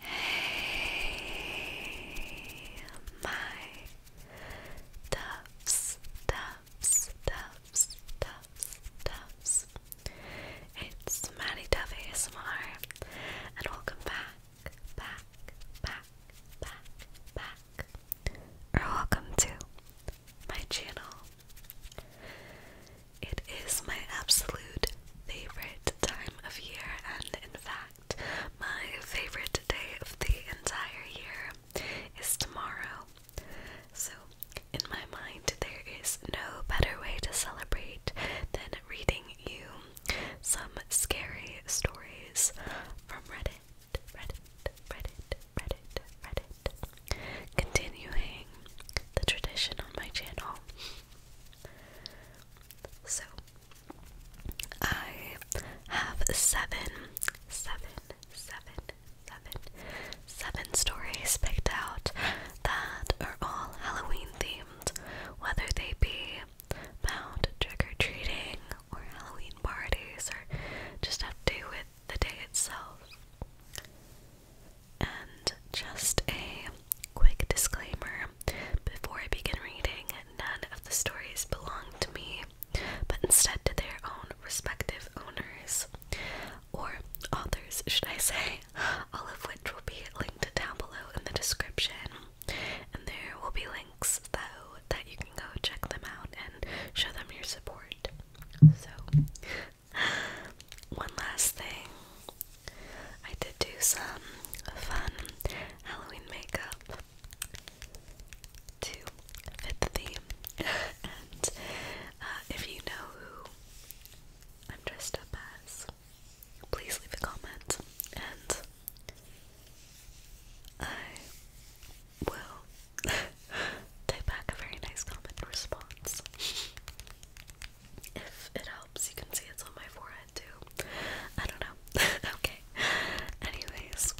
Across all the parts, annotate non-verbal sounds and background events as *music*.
Hey, my doves, doves, doves, doves, doves. It's Maddie Dove ASMR, and welcome back, back, back, back, back, or welcome to my channel. It is my absolute favorite time of year, and in fact, my favorite day of the entire year is tomorrow. So, in my mind, there is no better way to celebrate than reading you some scary stories from Reddit, Reddit, Reddit, Reddit, Reddit, continuing the tradition on my channel so I have seven, seven, seven, seven, seven stories picked out that are all Halloween themed, whether they be about trick or treating or Halloween parties or just have to do with the day itself. And just a quick disclaimer before I begin reading, none of the stories belong to me, but instead to their own respective owners or authors, should I say, all of which will be linked down below in the description. And there will be links though that you can go check them out and show them your support. So *laughs* One last thing. I did do some fun Halloween makeup to fit the theme. *laughs* and uh, if you know who I'm dressed up as, please leave a comment and I will *laughs* type back a very nice comment response. If it helps, you can see it's on my forehead too. I don't know. *laughs* okay. Anyways,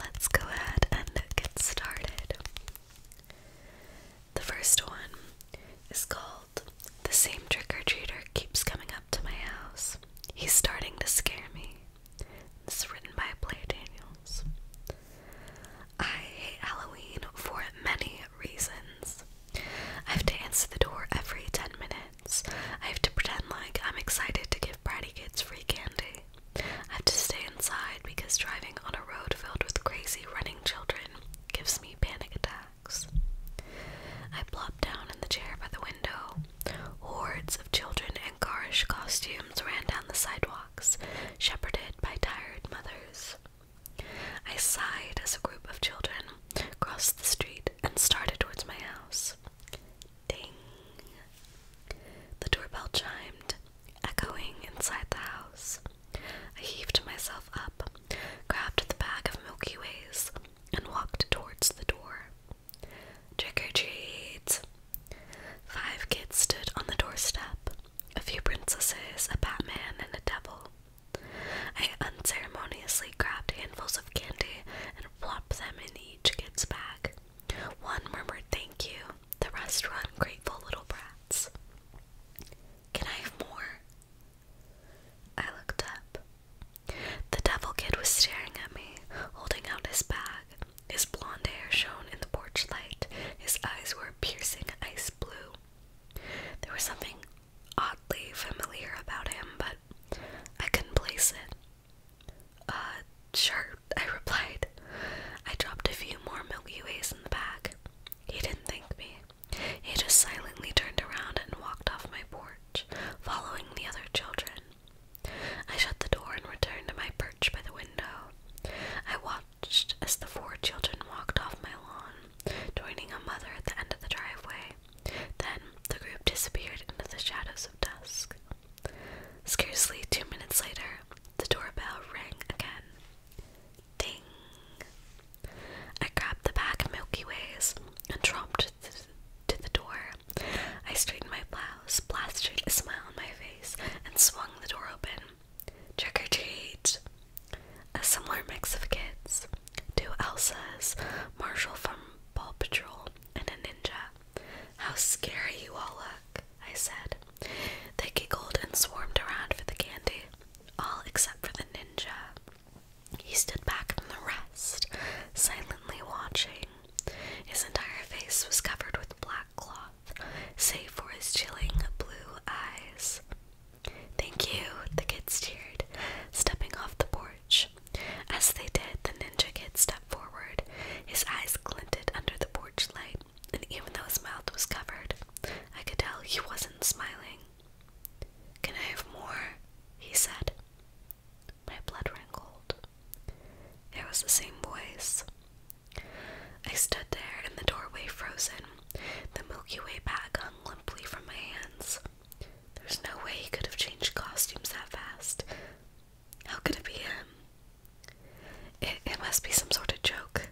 let's go ahead and get started. The first one is called The Same Trick or Treater Keeps Coming Up to My House. He's starting to scare me. This is written by Blair Daniels. I hate Halloween for many reasons. I have to answer the door every 10 minutes. I have to pretend like I'm excited to give bratty kids free candy. I have to stay inside because driving on a road filled with crazy running children gives me panic attacks. I plop down in the chair by the window. Hordes of children in garish costumes ran down the sidewalks, shepherded by tired mothers. I sighed as a group of children crossed the street and started towards my house. Ding! The doorbell chimed, echoing inside the house. I heaved myself up, grabbed the bag of Milky Ways, and walked towards the door. Trick or treats! Five kids stood on the doorstep a few princesses, a Batman, and a devil. I unceremoniously grabbed handfuls of candy and plopped them in each kid's bag. One murmured thank you, the rest were ungrateful little brats. Can I have more? I looked up. The devil kid was staring at me, holding out his bag. His blonde hair shone in the porch light. His eyes were piercing ice blue. There was something oddly familiar about him, but I couldn't place it. Uh, sure, *laughs* I replied. I dropped a few more Milky Ways in the bag. He didn't thank me. He just silently turned around and walked off my porch, following the other children. I shut the door and returned to my perch by the window. I watched as the four children walked off my lawn joining a mother at the end of the driveway. Then the group disappeared into the shadows of dusk. Scarcely two minutes later, the doorbell rang again. Ding! I grabbed the bag of Milky Ways and tromped to the door. I straightened my blouse, plastered a smile on my face, and swung the door open. Trick or treat! A similar mix of kids, two Elsas, Marshall from Ball Patrol, and a ninja. How scary you all look, I said. They giggled and swarmed around for the candy, all except for the ninja. He stood back from the rest, silently watching. His entire face was covered with black cloth, save for his chilling blue eyes. Thank you, the kid cheered, stepping off the porch. As they did, the ninja kid stepped forward. His eyes glinted under the porch light, and even though his mouth was covered, I could tell he wasn't smiling. Can I have more? he said. My blood ran cold. It was the same voice. I stood there in the doorway frozen, the Milky Way bag hung limply from my hands. There's no way he could have changed costumes that fast. How could it be him? It, it must be some sort of joke.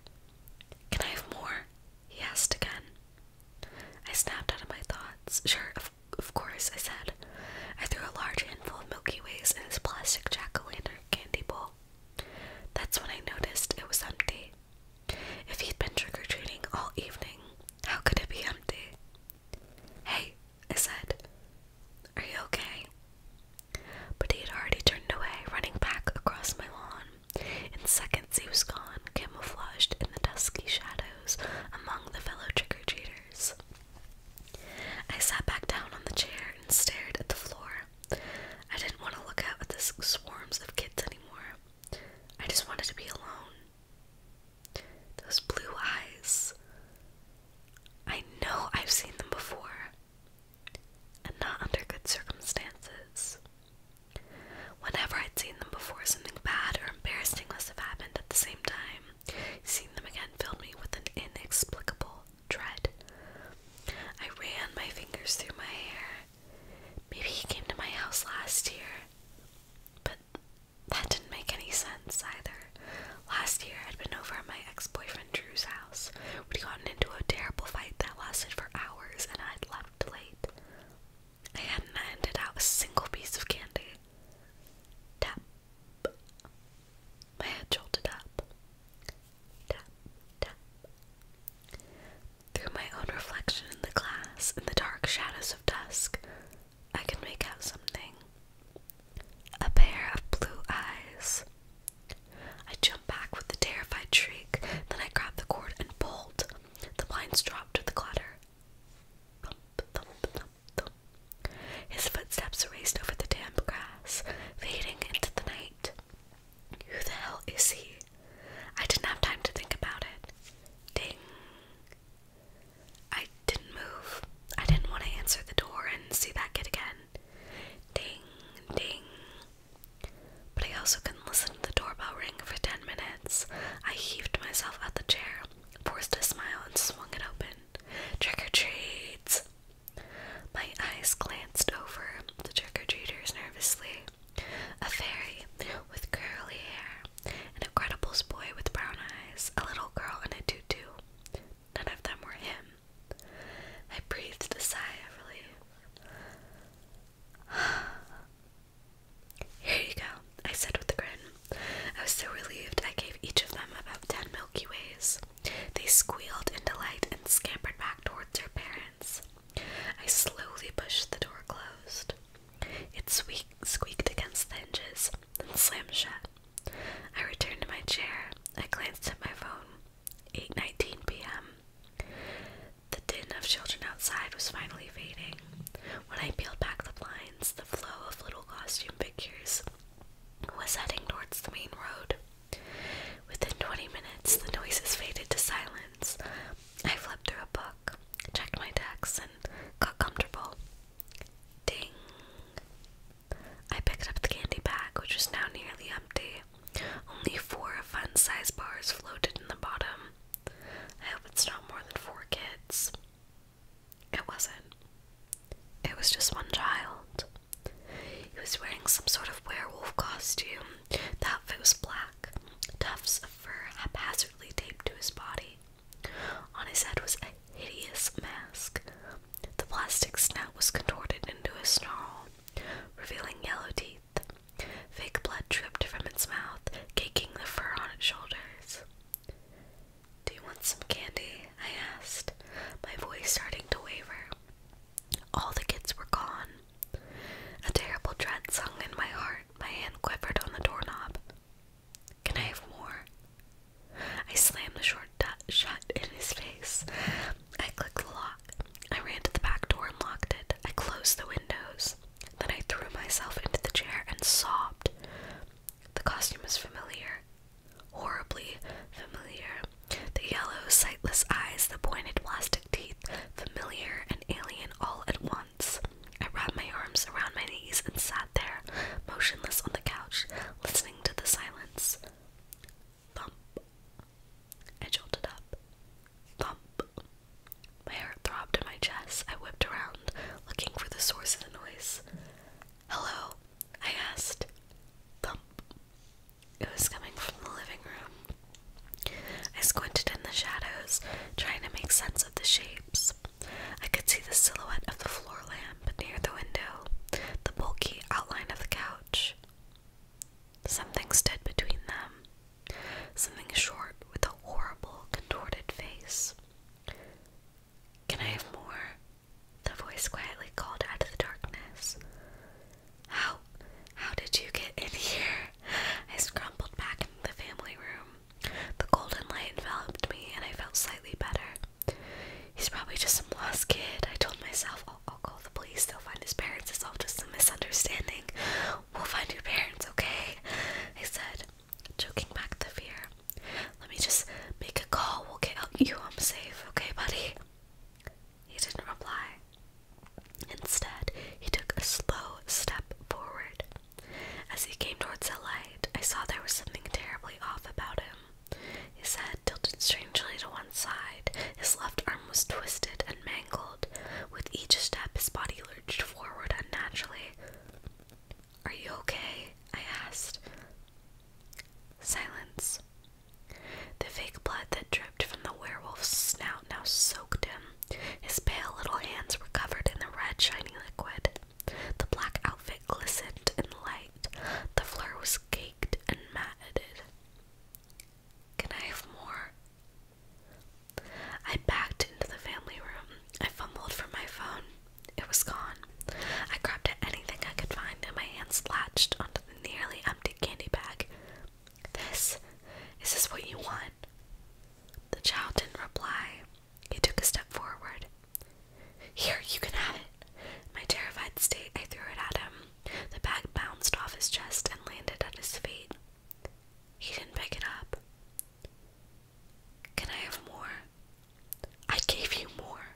Can I have more? He asked again. I snapped out of my thoughts. Sure, of, of course, I said. I threw a large handful of Milky Ways in his plastic jack o' lantern candy bowl. That's when I noticed it was empty. If he'd been trick or treating all evening, how could it be empty? Hey, I said, are you okay? But he had already turned away, running back across my lawn. In seconds, he was gone, camouflaged in the dusky shadows among the fellow trick or treaters. I sat back down on the chair and stared at the floor. I didn't want to look at the swarms of kids anymore. I just wanted to be alone. Those blue eyes. I know I've seen them before, and not under good circumstances. Whenever I'd seen them before, something bad or embarrassing must have happened at the same time. Seeing them again filled me with an inexplicable dread. I ran my fingers through my hair Maybe he came to my house last year. But that didn't make any sense either. Last year, I'd been over at my ex boyfriend Drew's house. We'd gotten into a terrible fight that lasted for hours, and I'd left late. I hadn't handed out a single piece of candy. Tap. My head jolted up. Tap, tap. Through my own reflection in the glass, in the dark shadows of dusk, I can make out something. A pair of blue eyes. I jump back with a terrified shriek, then I grab the cord and bolt. The blinds drop with a clatter. Thump, thump, thump, thump. His footsteps raced over the damp grass, fading into the night. Who the hell is he? I didn't have time to think about it. Ding. I didn't move. I didn't want to answer the door and see that kid again. Ding, ding. But I also couldn't listen to the doorbell ring for ten minutes. I heaved myself out the chair, forced a smile, and swung it open. Trick or treats! My eyes glanced over the trick or treaters nervously. A fairy with curly hair, an Incredibles boy with brown eyes, a little girl in a tutu. None of them were him. I breathed a sigh of relief. *sighs* Here you go, I said with a grin. I was so relieved I gave each of them about ten Milky Ways. They squealed in delight and scampered back towards their parents. I slowly pushed the door closed. It squeaked against the hinges, then slammed shut. I returned to my chair. I glanced at my phone. 8:19 p.m. The din of children outside was finally fading. When I peeled back the blinds, the flow of little costume figures was heading towards the main road. Within 20 minutes, the noises faded to silence. I flipped through a book checked my decks and got comfortable. Ding! I picked up the candy bag, which was now nearly empty. Only four fun sized bars floated in the bottom. I hope it's not more than four kids. It wasn't. It was just one child. He was wearing some sort of werewolf costume the outfit was black, tufts of fur haphazardly taped to his body. On his head was a hideous mask. The plastic snout was contorted into a snarl, revealing yellow teeth. Fake blood dripped from its mouth, caking the fur on its shoulders. Do you want some candy? I asked, my voice starting to waver. All the kids were gone. A terrible dread sung in my heart. My hand quivered on the doorknob. Can I have more? I slammed the short shut in his face. I clicked the lock. I ran to the back door and locked it. I closed the windows. Then I threw myself into the chair and sobbed. The costume was familiar. Horribly familiar. The yellow, sightless eyes, the pointed plastic teeth, familiar and alien all at once. I wrapped my arms around my knees and sat there, motionless on the couch, listening to the silence. Thump. I jolted up. Thump. My heart throbbed in my chest. I whipped around, looking for the source of the noise. Hello? I asked. Thump. It was coming from the living room. I squinted in the shadows, trying to make sense of the shapes. I could see the silhouette of the floor lamp near the window, the bulky outline of the couch. Something stood between them, something short with a horrible, contorted face. Can I have more? The voice quietly called out of the darkness. How? How did you get in here? I scrambled back into the family room. The golden light enveloped me, and I felt slightly better. He's probably just some lost kid. I told myself, I'll, call the police. They'll find his parents. It's all just a misunderstanding. We'll find your parents, okay? I said, choking back the fear. Let me just make a call. We'll get you I'm safe, okay, buddy? He didn't reply. Instead, he took a slow step forward. As he came towards the light, I saw there was something terribly off about him. His head tilted strangely to one side, his left arm was twisted and mangled. With each step, his body lurched forward unnaturally. Are you okay? I asked. Silence. The fake blood that dripped from the werewolf's snout now soaked him. His pale little hands were covered in the red, shiny liquid. The black outfit glistened in the light. The floor was caked and matted. Can I have more? I backed into the family room. I fumbled for my phone. It was gone. I grabbed at anything I could find, and my hands latched onto the nearly empty candy bag. This? Is this what you want? The child didn't reply. He took a step forward. Here, you can have it. In my terrified state, I threw it at him. The bag bounced off his chest and landed at his feet. He didn't pick it up. Can I have more? I gave you more.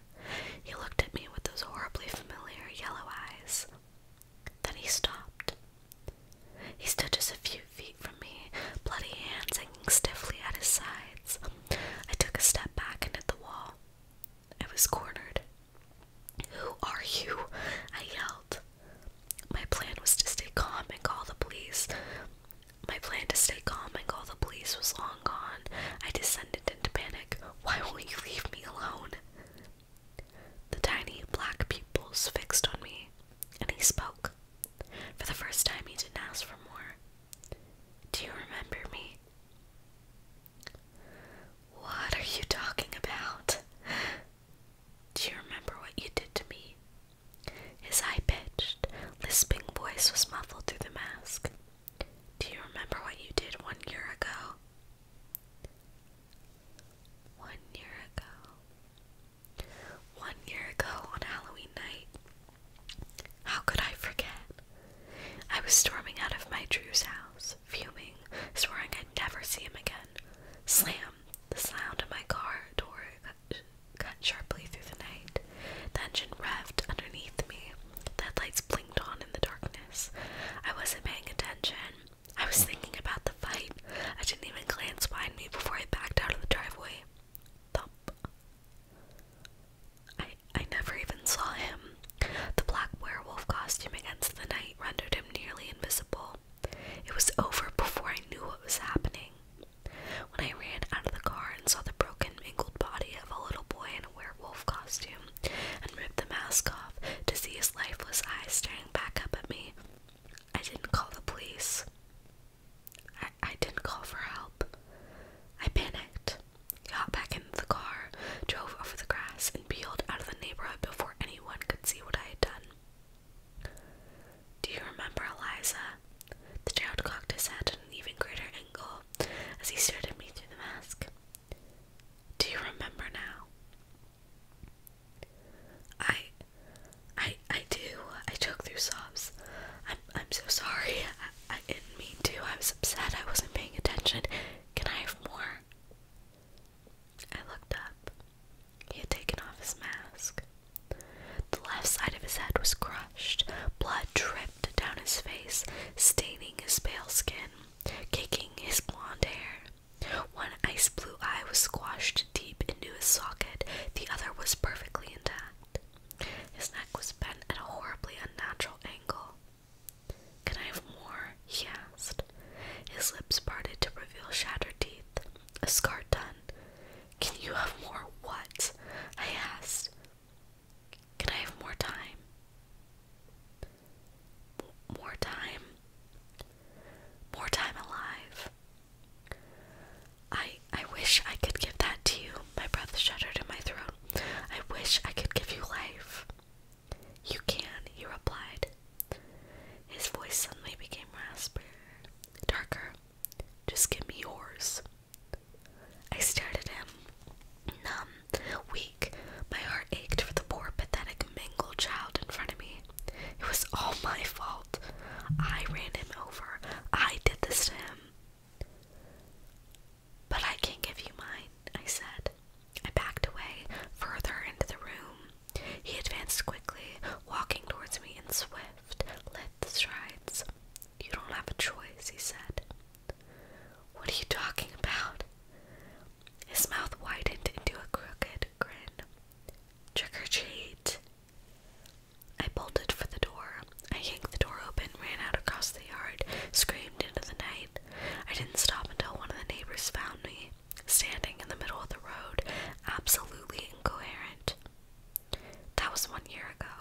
He looked at me with those horribly familiar yellow eyes. Then he stopped. He stood just a few feet from me, bloody hands hanging stiffly at his sides. I took a step back and hit the wall. I was cornered. Who are you? I yelled. My plan was to stay calm and call the police. My plan to stay calm and call the police was long gone. I descended into panic. Why won't you leave me alone? The tiny black pupils fixed on me, and he spoke. For the first time, he didn't ask for more. Do you remember me? What are you talking about? Do you remember what you did to me? His high pitched, lisping voice was muffled through the mask. Do you remember what you did one year ago? One year ago. One year ago on Halloween night, how could I forget? I was storming out of my Drew's house, fuming, swearing I'd never see him again. Slam! The sound of my car door cut sharply through the night. The engine revved underneath me. The headlights blinked on in the darkness. I wasn't paying attention. I was thinking about fight. I didn't even glance behind me before I backed out of the driveway. Thump. I I never even saw him. The black werewolf costume against the night rendered him nearly invisible. It was over before I knew what was happening. When I ran out of the car and saw the broken, mangled body of a little boy in a werewolf costume and ripped the mask off to see his lifeless eyes staring back up at me, I didn't call the police. I, I didn't call for help. I panicked, got back into the car, drove over the grass, and peeled out of the neighborhood before anyone could see what I had done. Do you remember Eliza? The child cocked his head at an even greater angle as he stared at me through the mask. Do you remember now? I I I do. I choke through sobs. I'm I'm so sorry. I, didn't mean to. I was upset. I wasn't paying attention. Can I have more? I looked up. He had taken off his mask. The left side of his head was crushed. Blood dripped down his face, staining his pale skin, kicking his blonde hair. One ice blue blue eye was squashed deep into his socket, the other was perfectly intact. His neck was bent at a horribly unnatural angle. Can I have more? he asked. His lips parted to reveal shattered teeth. A scar done. Can you have more what? I asked. Can I have more time? more time? more time alive. I I wish I could give that to you. My breath shuddered in my throat. I wish I could give you life. You can, he replied. His voice suddenly became raspy, darker. Just give me yours. I stared at him, numb, weak. My heart ached for the poor, pathetic, mangled child in front of me. It was all my fault. I ran him over. I did this to him. But I can't give you mine, I said. I backed away further into the room. He advanced quickly, walking towards me in swift, lithe strides. You don't have a choice, he said. What are you talking about? His mouth widened into a crooked grin. Trick or treat. I bolted for the door. I yanked the door open, ran out across the yard, screamed into the night. I didn't stop until one of the neighbors found me, standing in the middle of the road, absolutely incoherent. That was one year ago.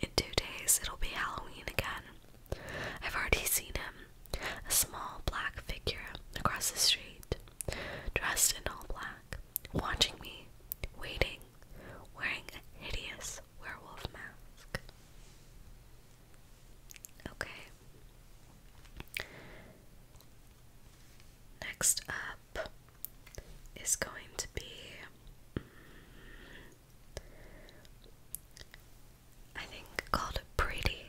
In two days, it'll be Halloween again. I've already seen him, a small black figure across the street, dressed in all black watching me, waiting, wearing a hideous werewolf mask. Okay. Next up is going to be. Mm, I think called Pretty,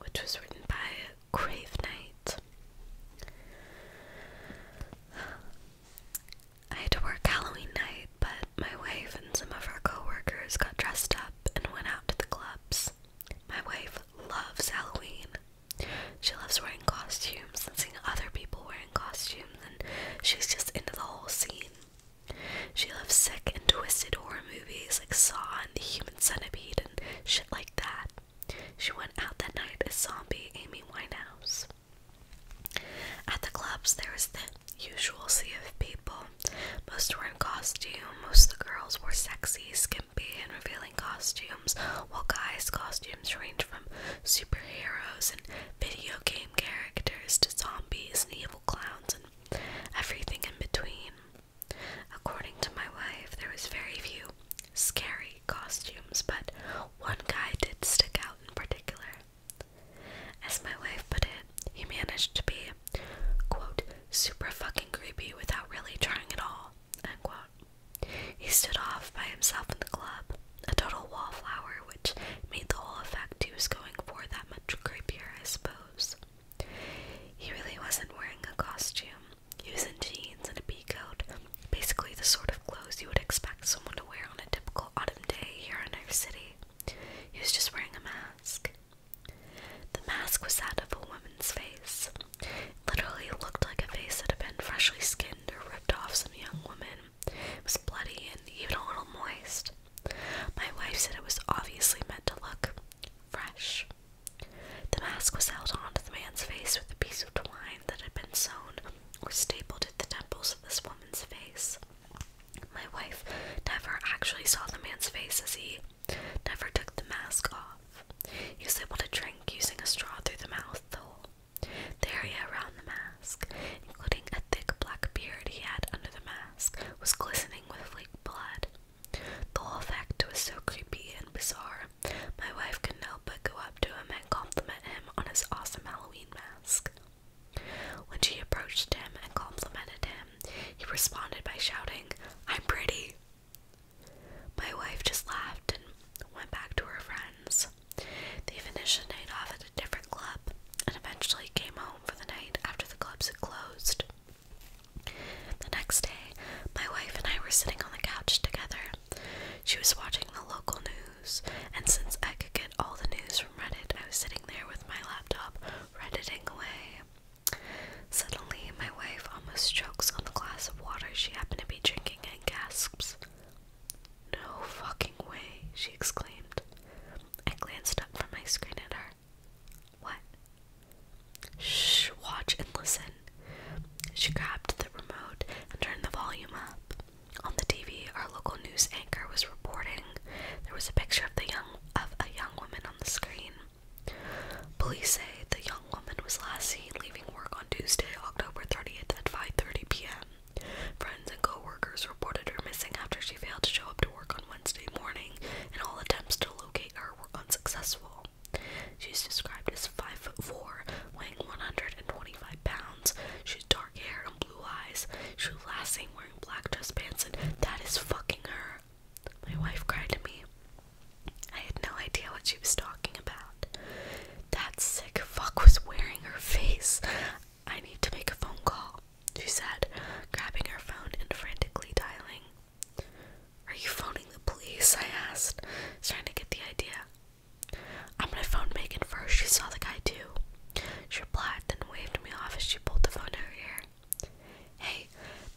which was written by Grave Night. I had to work Halloween night, but my wife and some of our coworkers got dressed up and went out to the clubs. My wife loves Halloween. She loves wearing costumes and seeing other people wearing costumes, and she's just into the whole scene. She loves sick and twisted horror movies like Saw and The Human Centipede and shit like that. She went out that night as zombie Amy Winehouse. At the clubs, there was the usual sea of people. Most wore costume, most of the girls wore sexy, skimpy, and revealing costumes, while guys' costumes ranged from superheroes and video game characters to zombies and evil clowns and everything in between. According to my wife, there was very few scary costumes, but one guy did stick out in particular. As my wife put it, he managed to be, quote, super fucking creepy without really trying at all, He stood off by himself in the club, a total wallflower, which made the whole effect he was going for that much creepier, I suppose. He really wasn't wearing a costume, Using jeans and a pea coat, basically the sort of clothes you would expect someone to wear on a typical autumn day here in our city. He was just wearing a mask. The mask was that of a woman's face. It literally looked like a face that had been freshly skinned or ripped off some young woman. It was bloody and even a little moist. My wife said it was obviously meant to look fresh. The mask was held onto the man's face with a piece of twine that had been sewn sewn or stapled at the temples of this woman's face. My wife never actually saw the man's face as he never took the mask off. He was able to drink using a straw through the mouth hole. The area around the mask, including a thick black beard he had under the mask, was glistening with fake blood. The whole effect was so creepy and bizarre my wife couldn't help but go up to him and compliment him on his awesome Halloween mask. When she approached him and complimented him, he responded by shouting, I'm pretty. My wife just laughed and went back to her friends. They finished the night off at a different club and eventually came home for the night after the clubs had closed. The next day, my wife and I were sitting on the couch together. She was watching the local news, and since I could get all the news from Reddit, I was sitting there with my laptop, redditing away. Suddenly, my wife almost chokes on the glass of water she happened to be drinking and gasps, No fucking way, she exclaimed. I glanced up from my screen at her. What? Shh, watch and listen, she grabbed the remote and turned the volume up. On the TV, our local news anchor was reporting. There was a picture of the young of a young woman on the screen. Police say the young woman was last seen leaving work on Tuesday, October 30th at 5:30 p.m. Friends and coworkers reported her missing after she failed to show up to work on Wednesday morning, and all attempts to locate her were unsuccessful. She's described as 5 foot 4, weighing 125 pounds. She dark hair and blue eyes. She last seen wearing black dress pants, and that is fucking her. My wife cried to me. I had no idea what she was talking about. That sick fuck was wearing her face. I need to make a phone call, she said, grabbing her phone and frantically dialing. Are you phoning the police? I asked, trying to get the idea. I'm gonna phone Megan first. She saw the guy too. She replied, then waved me off as she pulled the phone to her ear. Hey,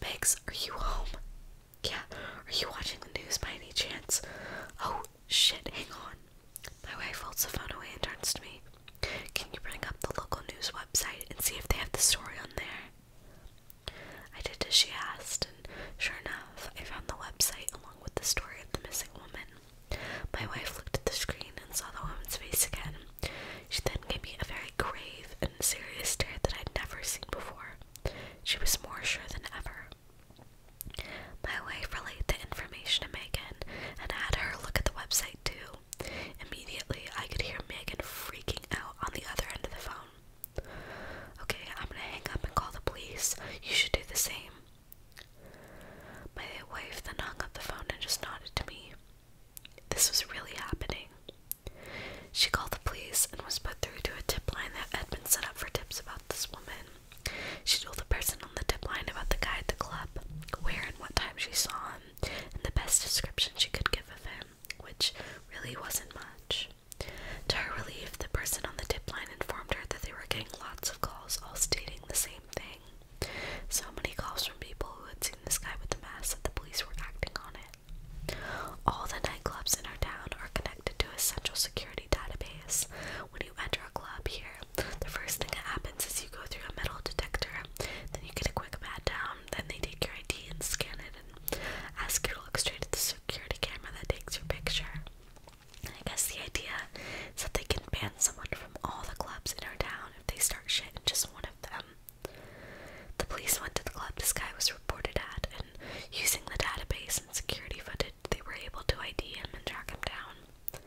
Megs, are you home? Yeah, are you watching the news by any chance? Oh, shit, hang on. My wife holds the phone away and turns to me. Can you bring up the local news website and see if they have the story on there? I did as she asked, and sure enough, I found the website along with the story of the missing woman. My wife looked at the screen and saw the woman's face again. She then gave me a very grave and serious stare that I'd never seen before. She was more sure than ever. My wife relayed the information to Megan and had her look at the website too. Immediately, I could hear Megan freaking out on the other end of the phone. Okay, I'm gonna hang up and call the police. You should do the same. My wife then hung up the phone and just nodded to me. This was really happening. She called the police and was put through to a tip line that had been set up for tips about this woman. She told the person on the tip line about the guy at the club, where and what time she saw him, and the best description she could give of him, which really wasn't much. To her relief, the person on the tip line informed her that they were getting lots of calls, all stating the same thing. So many calls from people who had seen this guy with the mask that the police were acting on it. All the nightclubs in our town are connected to a central security database. When you enter a club here, the first thing that happens is you go through a metal detector, then you get a quick pat down, then they take your ID and scan it and ask you to look straight at the security camera that takes your picture. I guess the idea is that they can ban someone from all the clubs in our town if they start shit in just one of them. The police went to the club this guy was reported at, and using the database and security footage, they were able to ID him and track him down.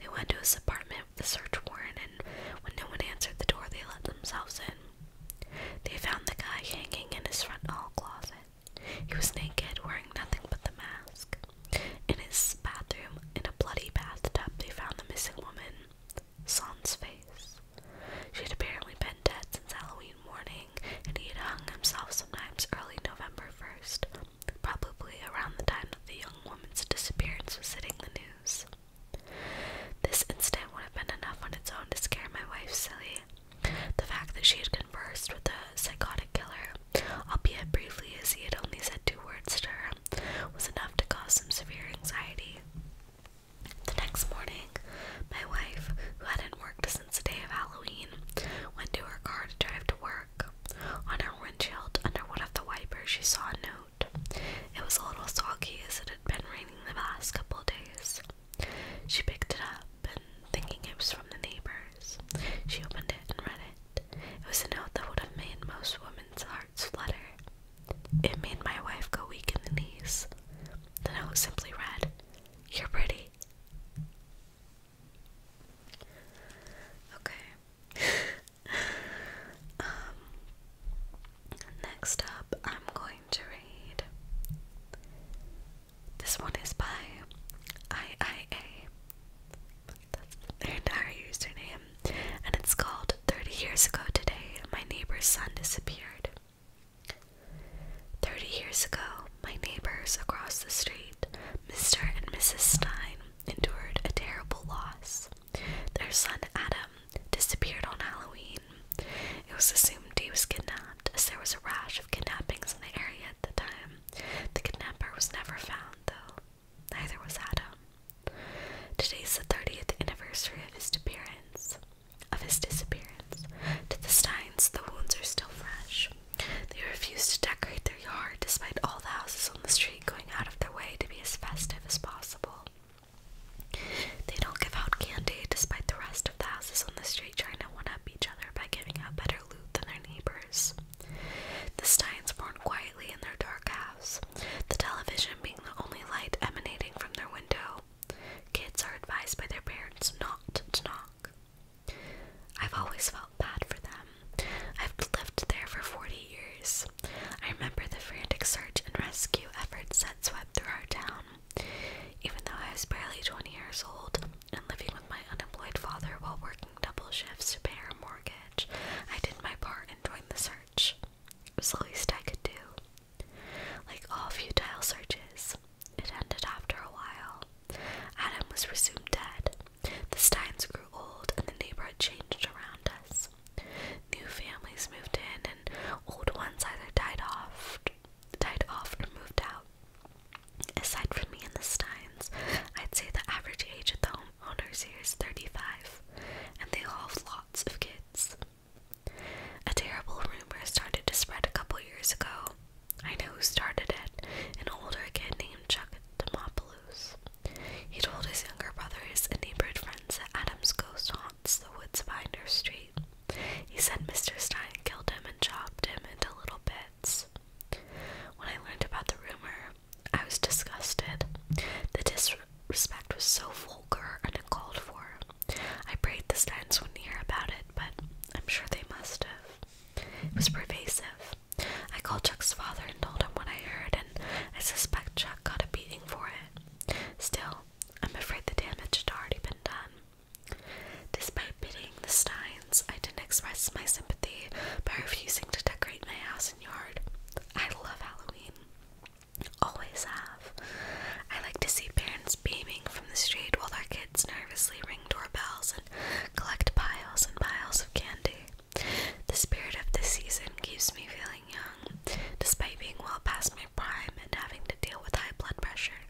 They went to his apartment with a search warrant, and when no one answered the door, they let themselves in. They found the guy hanging in his front hall closet. He was naked, wearing nothing but the mask. In his bathroom, in a bloody bathtub, they found the missing woman, Son's face. She had apparently been dead since Halloween morning, and he had hung himself sometime early November 1st, probably around the time that the young woman's disappearance was hitting the news. This incident would have been enough on its own to scare my wife silly, the fact that she had conversed with the psychotic killer, albeit briefly as he had only said two words to her, was enough to cause some severe anxiety. The next morning, my wife, who hadn't worked since the day of Halloween, went to her car to drive to work. On her windshield, under one of the wipers, she saw a note. It was a little soggy as it had been raining the last couple of days. She picked it up open, thinking it was from the neighbors. She opened it and read it. It was a note that would have made most women's hearts flutter. It made my wife go weak in the knees. The note simply read, You're pretty. Okay. *laughs* um, next up, I'm going to read this one is by IIA. That's their entire username. And it's called 30 Years Ago Today, My Neighbor's Son Disappeared. 30 years ago, my neighbors across the street, Mr. and Mrs. Stein, endured a terrible loss. Their son Adam disappeared on Halloween. It was assumed he was kidnapped, as there was a rash of kidnappings in the area at the time. The kidnapper was never found, though. Neither was Adam. Today's the 30th anniversary of his appearance. Of his disappearance. To the Steins, the wounds are still fresh. They refuse to decorate their yard despite all the houses on the street going out of their way to be as festive as possible. They don't give out candy despite the rest of the houses on the street trying to one up each other by giving out better loot than their neighbors. The Steins mourn quietly in their dark house, the television being the only light emanating from their window. Kids are advised by their parents not to knock. I've always felt bad for them. I've lived there for 40 years. I remember the frantic search and rescue efforts that swept through our town. Even though I was barely 20 years old, and living with my unemployed father while working double shifts to pay our mortgage, I did my part and joined the search. It was the least I could do. Like all futile searches, it ended after a while. Adam was presumed dead. The Steins grew old, and the neighborhood changed around us. New families moved in, and old ones either died off, died off, or moved out. Aside from me and the Steins, I'd say the average age of the homeowners here is 35, and they all have lots of kids. A terrible rumor started to spread a couple years ago. I know who started it an older kid named Chuck Demopoulos. He told his younger brothers and neighborhood friends that Adam's ghost haunts the woods behind our street. He said Mr. Stein killed him and chopped him into little bits. When I learned about the rumor, I was disgusted. The disrespect was so vulgar and uncalled for. I prayed the Steins wouldn't hear about it, but I'm sure they must have. It was pervasive. I called Chuck's father and told him what I heard, and I suspect Chuck got a beating for it. Still, I'm afraid the damage had already been done. Despite pitying the Steins, I didn't express my sympathy by refusing to decorate my house and yard. I love Halloween. Always have. I like to see parents beaming from the street while their kids nervously ring doorbells and collect piles and piles of candy. The spirit of the season keeps me feeling young, despite being well past my prime and having to deal with high blood pressure.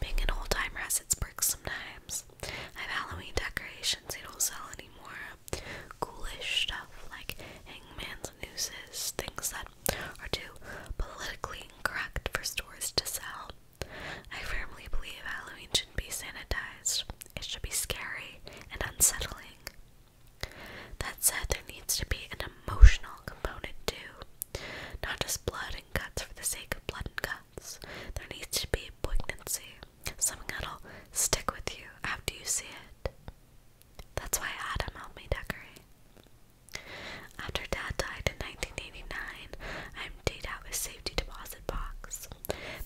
Being an old timer has its perks sometimes. I have Halloween decorations they don't sell anymore. Coolish stuff like hangman's nooses, things that are too politically incorrect for stores to sell. I firmly believe Halloween shouldn't be sanitized. It should be scary and unsettling. That said, there needs to be an emotional component too. Not just blood and guts for the sake of blood and guts. There needs to be poignancy, something that'll stick with you after you see it. That's why Adam helped me decorate. After Dad died in 1989, I emptied out his safety deposit box.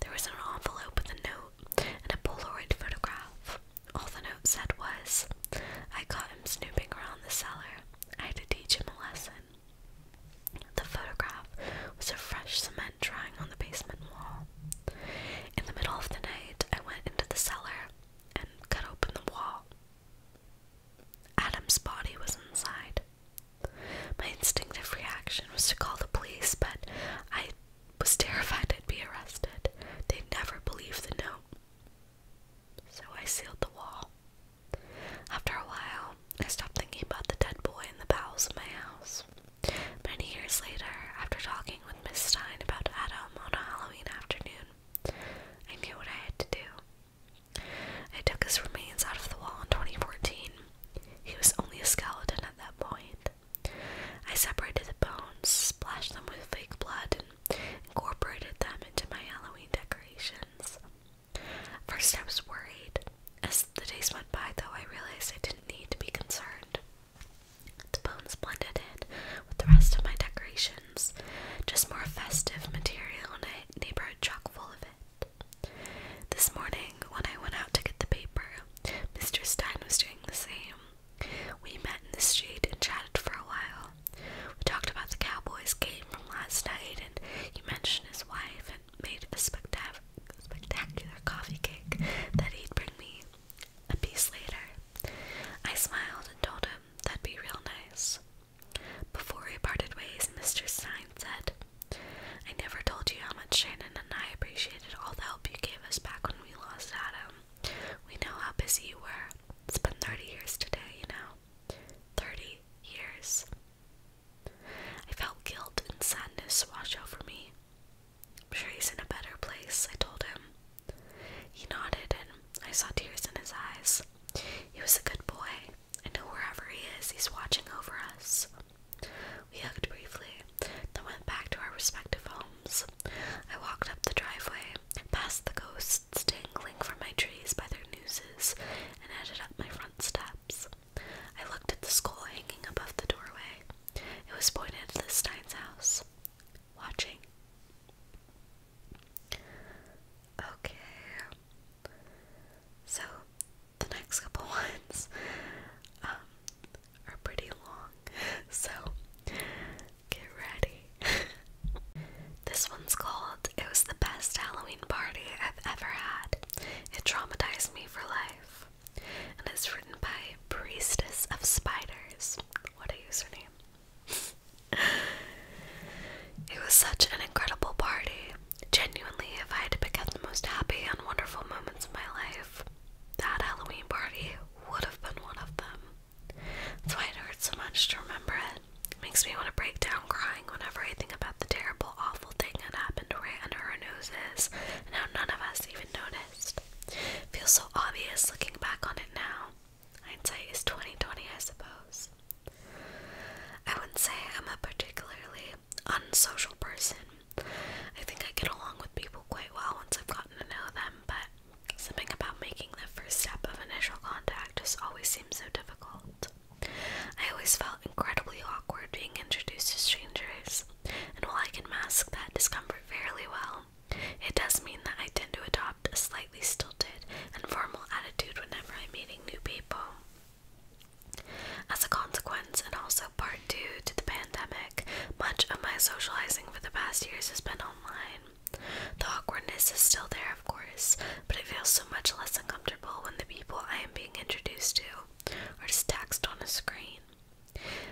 There was an envelope with a note and a Polaroid photograph. All the note said was, I caught him snooping around the cellar. I had to teach him a lesson. The photograph was a fresh cement drying on the basement wall. In the middle of the night, I went into the cellar and cut open the wall. Adam's body was inside. My instinctive reaction was to call the police, but I was terrified I'd be arrested. They'd never believe the note. So I sealed the wall after a while, I stopped thinking about the dead boy in the bowels of my house. Many years later, after talking with Miss Stein about Adam on a Halloween afternoon, I knew what I had to do. I took his remains out of the wall in 2014. He was only a skeleton at that point. I separated the bones, splashed them with fake blood, and incorporated them into my Halloween decorations. First, I was worried. As the days went by, though, I realized I didn't need to be concerned. The bones blended in with the rest of my decorations, just more festive material in a neighborhood chock full of it. This morning, when I went out to get the paper, Mr. Stein was doing the same. We met in the street and chatted for a while. We talked about the Cowboys game from last night, and you mentioned his wife and made a spectac spectacular coffee cake that he'd bring me a piece later. I smiled and told him that'd be real nice. Before we parted ways, Mr. Stein said, I never told you how much Shannon and I appreciated all the help you gave us back when we lost Adam. We know how busy you were. It's been 30 years today, you know. 30 years. I felt guilt and sadness wash over me. I'm sure he's in a better place, I told him. He nodded, and I saw tears in his eyes. He was a good boy. I know wherever he is, he's watching over us. We hugged briefly, then went back to our respective homes. I walked up the driveway, past the ghosts dangling from my trees by their nooses, and headed up my front steps. I looked at the skull hanging above the doorway. It was pointed at the Stein's house. Watching. Okay. So, the next couple *laughs* ones um, are pretty long, *laughs* so get ready. *laughs* this one's called It Was the Best Halloween Party I've Ever Had. It traumatized me for life. And it's written by Priestess of Spiders. What a username. *laughs* it was such an incredible party. Genuinely, if I had to pick out the most happy and wonderful moments of my life, that Halloween party would have been one of them. That's why it hurts so much to remember it. It makes me want to break down crying whenever I think about the terrible, awful thing that happened right under our noses and how none of us even noticed. Feels so obvious looking back on it now. Hindsight is 2020, I suppose. I wouldn't say I'm a particularly unsocial person. I think I get along with people quite well once I've gotten to know them, but something about making the first step of initial contact just always seems so difficult. I always felt incredibly awkward being introduced to strangers, and while I can mask that discomfort fairly well, it does mean that I tend to adopt a slightly stilted and formal attitude whenever I'm meeting new people. As a consequence, and also part due to the pandemic, much of my socializing for the past years has been online. The awkwardness is still there, of course, but I feel so much less uncomfortable when the people I am being introduced to or just text on a screen.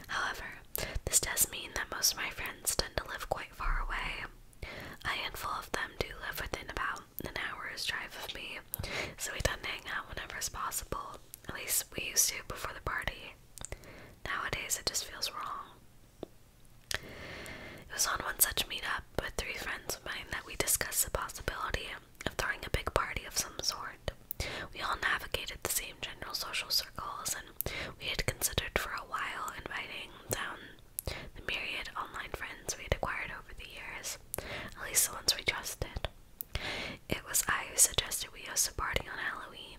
However, this does mean that most of my friends tend to live quite far away. A handful of them do live within about an hour's drive of me, so we tend to hang out whenever it's possible. At least we used to before the party. Nowadays, it just feels wrong. It was on one such meetup with three friends of mine that we discussed the possibility of throwing a big party of some sort. We all navigated the same general social circles, and we had considered for a while inviting down the myriad online friends we had acquired over the years, at least the ones we trusted. It was I who suggested we host a party on Halloween.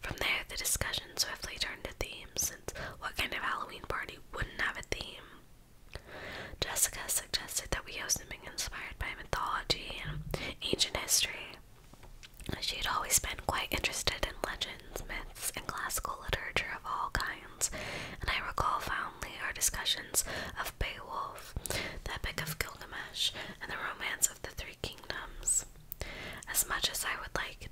From there, the discussion swiftly turned to themes, since what kind of Halloween party wouldn't have a theme? Jessica suggested that we host something inspired by mythology and ancient history. She had always been quite interested in legends, myths, and classical literature of all kinds, and I recall fondly our discussions of Beowulf, the Epic of Gilgamesh, and the Romance of the Three Kingdoms. As much as I would like